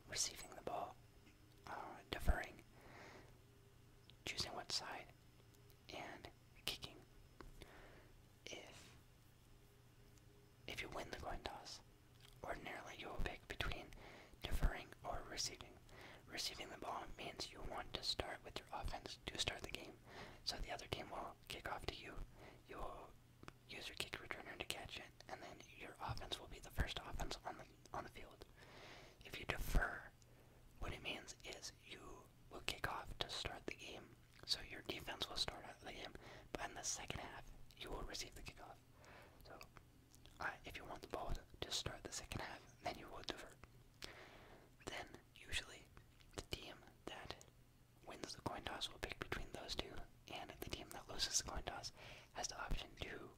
Receiving the ball, uh, deferring, choosing what side, and kicking. If if you win the coin toss, ordinarily you will pick between deferring or receiving. Receiving the ball means you want to start with your offense to start the game, so the other team will kick off to you. You will use your kick returner to catch it, and then your offense will be the first offense on the on the field. If you defer, what it means is you will kick off to start the game, so your defense will start out the game, but in the second half you will receive the kickoff. So uh, if you want the ball to start the second half, then you will defer. Then, usually, the team that wins the coin toss will pick between those two, and the team that loses the coin toss has the option to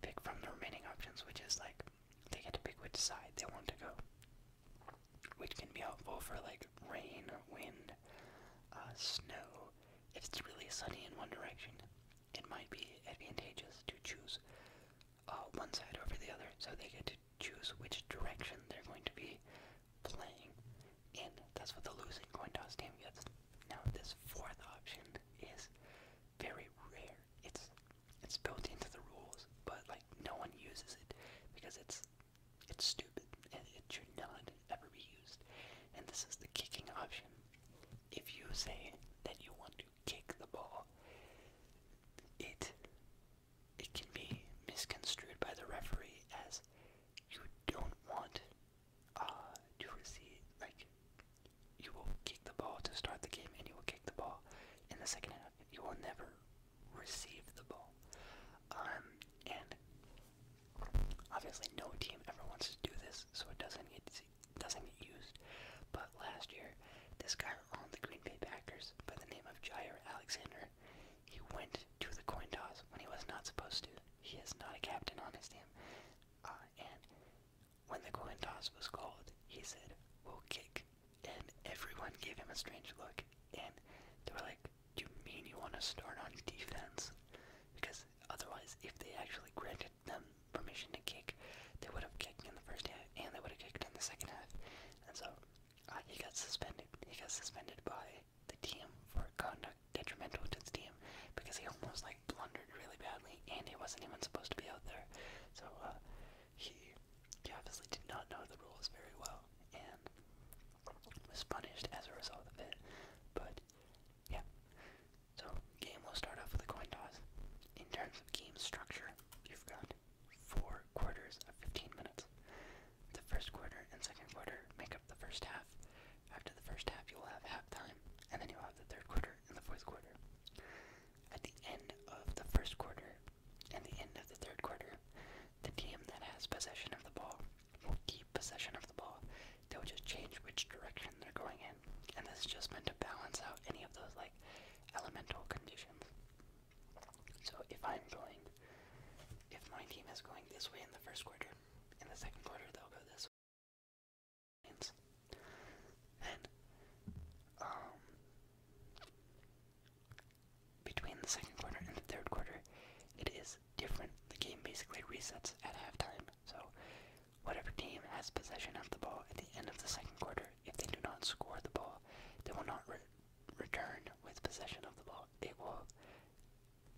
pick from the remaining options, which is like they get to pick which side they want to go, which can be helpful for like rain, wind, uh, snow. If it's really sunny in one direction, it might be advantageous to choose uh, one side over the other, so they get to choose which direction they're going to be playing, and that's what the losing coin toss team gets. Now, this fourth option is very rare. It's it's built into the rules, but like no one uses it because it's it's stupid and it should not ever be used. And this is the kicking option. If you say that you want to kick the ball. It it can be misconstrued by the referee as you don't want uh, to receive like you will kick the ball to start the game and you will kick the ball in the second half. You will never receive the ball. Um, and obviously no team ever wants to do this, so it doesn't get doesn't get used. But last year, this guy on the Green Bay Packers by the name of Jair Alexander, he went to the coin toss when he was not supposed to. He is not a captain on his team. Uh, and when the coin toss was called, he said, "We'll kick," and everyone gave him a strange look. And they were like, "Do you mean you want to start on defense?" Because otherwise, if they actually granted granted them permission to kick, they would have kicked in the first half and they would have kicked in the second half. And so uh, he got suspended. He got suspended by the team for conduct detrimental to the team because he almost like blundered really badly and he wasn't even supposed to be out there. So uh, he, he obviously did not know the rules very well and was punished as a result of it. But yeah, so, game will start off with a coin toss. In terms of game structure, you've got four quarters of 15 minutes. The first quarter and second quarter make up the first half. After the first half, you will have halftime, and then you'll have the third quarter and the fourth quarter. At the end of the first quarter and the end of the third quarter, the team that has possession of the ball will keep possession of the ball. They'll just change which direction they're going in, and this is just meant to balance out any of those like elemental conditions. So if I'm going, if my team is going this way in the first quarter, in the second quarter they'll go this way. Then, um, between the second quarter and the third quarter, it is different. The game basically resets at halftime. So Whatever team has possession of the ball at the end of the second quarter, if they do not score the ball, they will not return with possession of the ball. It will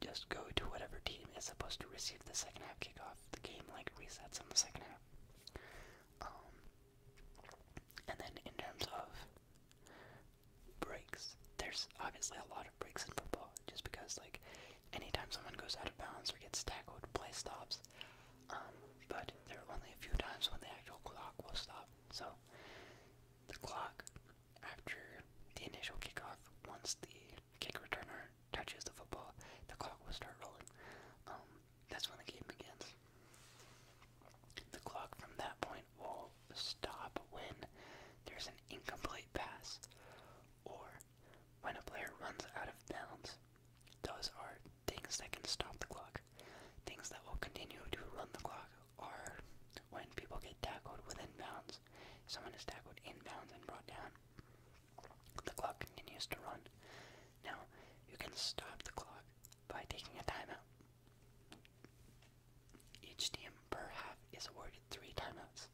just go to whatever team is supposed to receive the second half kickoff. The game like resets in the second half. Um, and then in terms of breaks, there's obviously a lot of breaks in football, just because like anytime someone goes out of bounds or gets tackled, play stops. Um, but there were only a few times when the actual clock will stop. So the clock after the initial kickoff, once the kick returner touches the football, the clock will start rolling. Um, that's when the game begins. The clock from that point will stop when there's an incomplete pass or when a player runs out of bounds. Those are Things that can stop the clock. Things that will continue to run the clock are when people get tackled within bounds. someone is tackled in bounds and brought down. The clock continues to run. Now, you can stop the clock by taking a timeout. Each team per half is awarded three timeouts.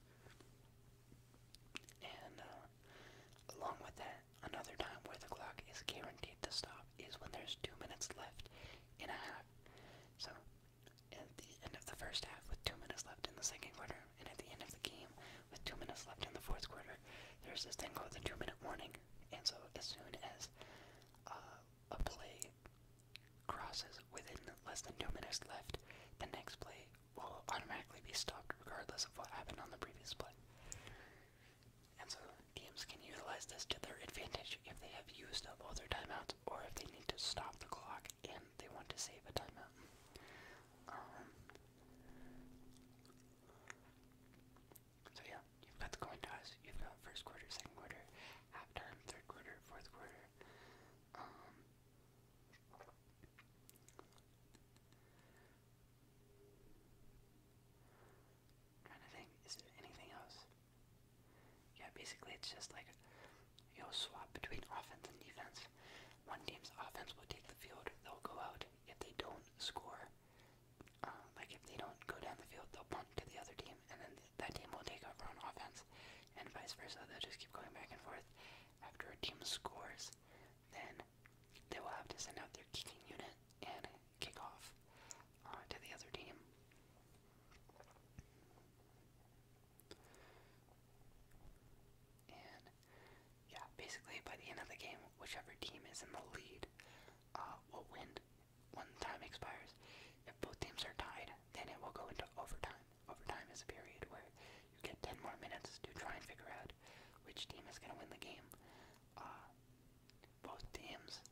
And uh, along with that, Another time where the clock is guaranteed to stop is when there's two minutes left in a half. So, at the end of the first half, with two minutes left in the second quarter, and at the end of the game, with two minutes left in the fourth quarter, there's this thing called the two minute warning. And so, as soon as uh, a play crosses within less than two minutes left, the next play will automatically be stopped regardless of what happened on the previous play. And so teams can utilize this to their advantage if they have used up all their timeouts or if they need to stop the clock and they want to save a timeout. Um, so yeah, you've got the coin toss, you've got first quarter, second quarter, halftime, third quarter, fourth quarter. Um, trying to think, is there anything else? Yeah, basically it's just like you'll swap between offense and defense. One team's offense will take the field, they'll go out. If they don't score, um, like if they don't go down the field, they'll punt to the other team, and then that team will take over on offense, and vice versa. They'll just keep going back and forth. After a team scores, then they will have to send out their kicking unit and kick off uh, to the other team. And yeah, basically by the end of the game, whichever team is in the lead uh, will win when time expires. If both teams are tied, then it will go into overtime. Overtime is a period where you get 10 more minutes to try and figure out which team is going to win the game. Uh, both teams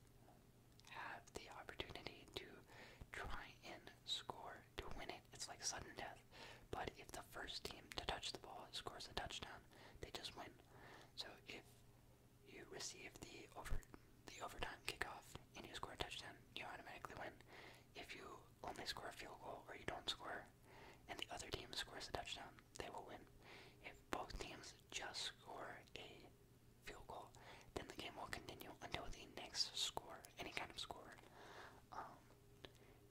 have the opportunity to try and score to win it. It's like sudden death. But if the first team to touch the ball scores a touchdown, they just win. So if you receive the over the overtime kickoff and you score a touchdown, you automatically win. If you only score a field goal or you don't score and the other team scores a touchdown, they will win. If both teams just score a field goal, then the game will continue until the next score, any kind of score. Um,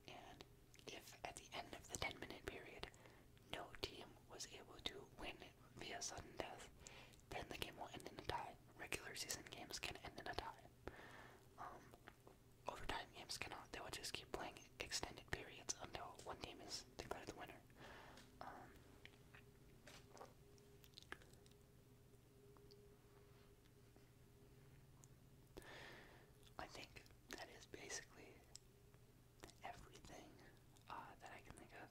and if at the end of the 10 minute period no team was able to win via sudden death, then the game will end in a tie. Regular season games can end in a tie. Um, overtime games cannot, they will just keep playing extended periods until one team is declared the winner. Um, I think that is basically everything uh, that I can think of.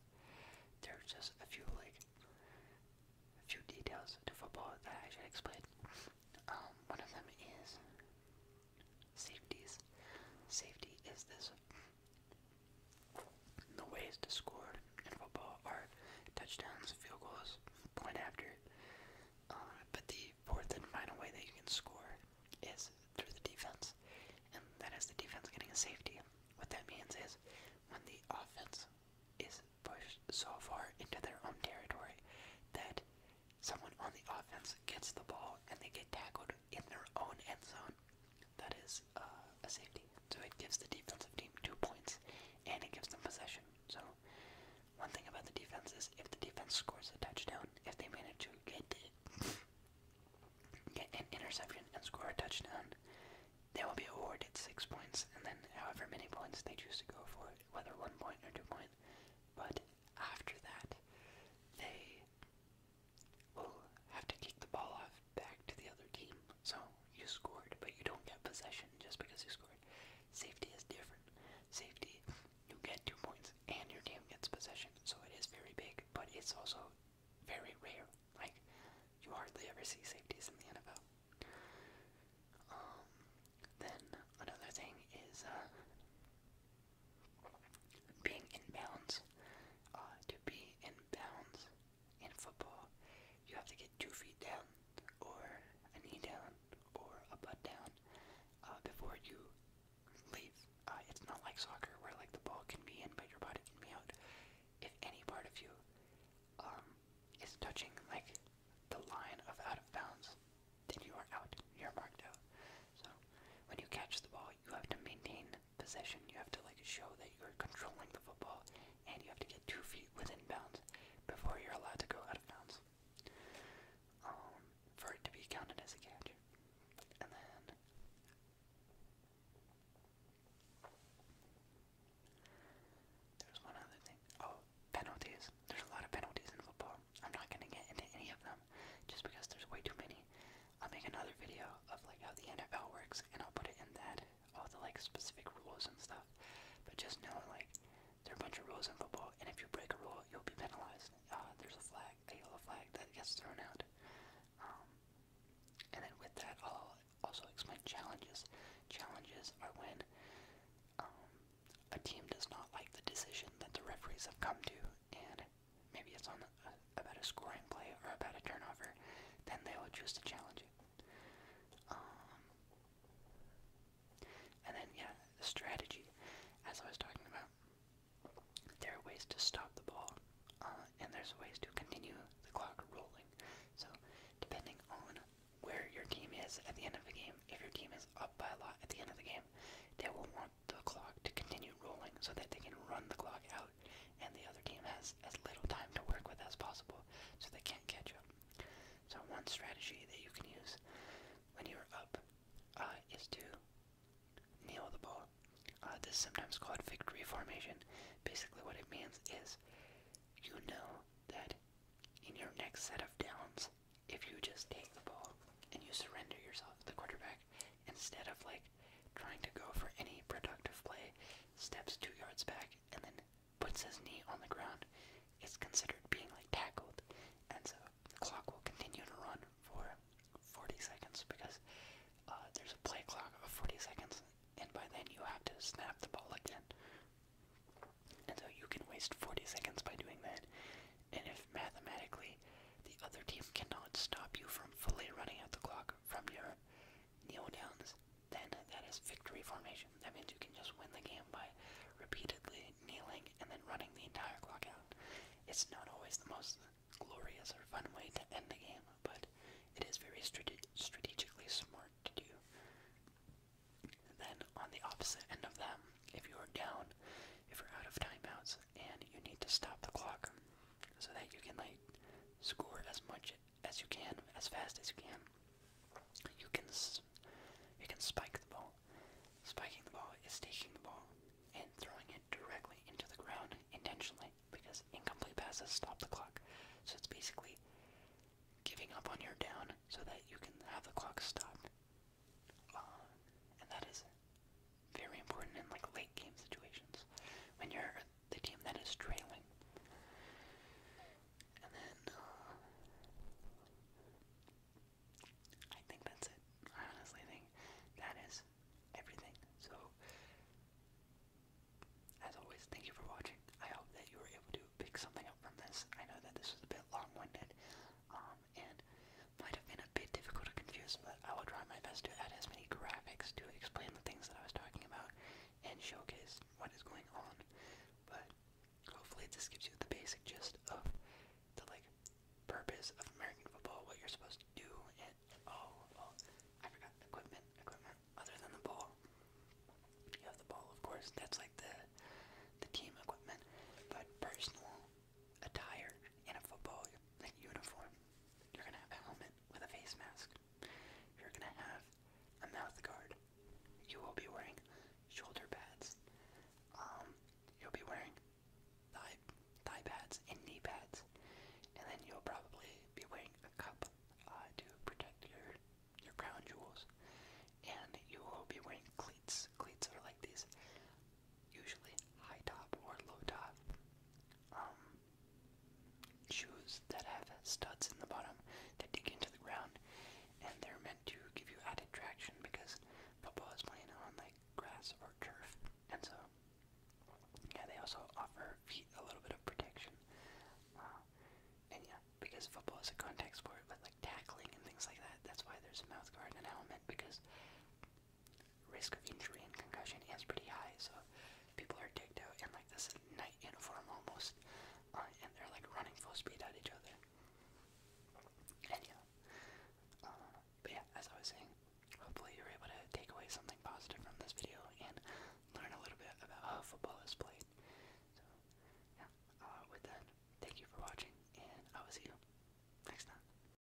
There just a few like a few details to football that I should explain. Um, one of them is Safeties. Safety is this. The ways to score in football are touchdowns, field goals, point after. Uh, but the fourth and final way that you can score is through the defense, and that is the defense getting a safety. What that means is when the offense is pushed so far into their own territory that someone on the offense gets the ball and they get tackled in their own end zone. That is uh, a safety. So it gives the defensive team two points and it gives them possession. So, one thing about the defense is if the defense scores a touchdown, if they manage to get, get an interception and score a touchdown, they will be awarded six points and then however many points they choose to go for, whether one point or two points. But after that, they will have to kick the ball off back to the other team. So you scored, but you don't get possession just because you scored. Safety is different. Safety, you get two points and your team gets possession. So it is very big, but it's also very rare. Like, you hardly ever see safeties in the NFL. Um, then another thing is uh, being in bounds. Uh, to be in bounds in football, you have to get two feet down, or a knee down, or a butt down uh, before you leave. Uh, it's not like soccer where like the ball can be in but your body can be out. If any part of you um, is touching like the line of out of bounds, then you are out. You're marked out. So when you catch the ball, you have to maintain possession. You have to like show that you're controlling the football, and you have to get two feet within bounds before you're allowed to go out of bounds um, for it to be counted as a catch. And then. There's one other thing. Oh, penalties. There's a lot of penalties in football. I'm not gonna get into any of them just because there's way too many. I'll make another video of like how the NFL works and I'll put it in that all the like specific rules and stuff. But just know like there are a bunch of rules in football and if you break a rule you'll be penalized. Uh, there's a flag, a yellow flag that gets thrown out. Um, and then with that I'll also explain challenges. Challenges are when um, a team does not like the decision that the referees have come to and maybe it's on a, about a scoring play or about a turnover, then they will choose to challenge it. Um, and then, yeah, strategy, as I was talking about, there are ways to stop the ball, uh, and there's ways to continue the clock rolling. So, depending on where your team is at the end of the game, if your team is up by a lot at the end of the game, they will want the clock to continue rolling so that they can run the clock out and the other team has as little time to work with as possible so they can't catch up. So, one strategy that you can use when you're up uh, is to kneel the ball. Uh, this is sometimes called victory formation. Basically, what it means is you know that in your next set of downs, if you just take the ball and you surrender yourself, the quarterback Instead of like trying to go for any productive play, steps two yards back and then puts his knee on the ground. It's considered being like tackled. And so the clock will continue to run for 40 seconds because uh, there's a play clock of 40 seconds, and by then you have to snap the ball again. And so you can waste 40 seconds by doing that, and if mathematically the other team cannot stop you from fully running out the clock from your kneel downs, then that is victory formation. That means you can just win the game by repeatedly kneeling and then running the entire clock out. It's not always the most glorious or fun way to end the game, but it is very strate strategically smart to do. Then, on the opposite end of them, if you are down, if you're out of timeouts, and you need to stop the clock so that you can like score as much as you can, as fast as you can. You can you can spike the ball. Spiking the ball is taking the ball and throwing it directly into the ground intentionally because incomplete passes stop the clock. So it's basically giving up on your down so that you can have the clock stop and that is very important in like late game situations when you're the team that is trailing. And then uh, I think that's it. I honestly think that is everything. So as always, thank you for watching. I hope that you were able to pick something up from this. I know that this was a bit long-winded, um, and might have been a bit difficult to confuse, but I will try my best to add as many graphics to explain the things that I was talking about and showcase what is going on. But hopefully this gives you the basic gist of the like purpose of American football, what you're supposed to do, and oh, well, I forgot equipment, equipment other than the ball. You have the ball, of course. That's like the the team equipment, but personal attire in a football uniform. You're gonna have a helmet with a face mask. You're gonna have a mouth guard. You will be wearing shoulder pads. Um, you'll be wearing thigh, thigh pads and knee pads, and then you'll probably be wearing a cup uh, to protect your your crown jewels. And you will be wearing cleats. Cleats are like these usually high top or low top um, shoes that have studs in the bottom that dig into the ground, and they're meant to give you added traction because football is playing on like grass or turf, and so yeah, they also offer feet a little bit of protection. Uh, and yeah, because football is a contact sport with like tackling and things like that, that's why there's a mouth guard and an helmet because risk of injury and concussion is pretty high, so people are digged out in like this night uniform almost, uh, and they're like running full speed at each other. And yeah, uh, but yeah, as I was saying, hopefully you were able to take away something positive from this video and learn a little bit about how football is played. So yeah, uh, with that, thank you for watching, and I will see you next time.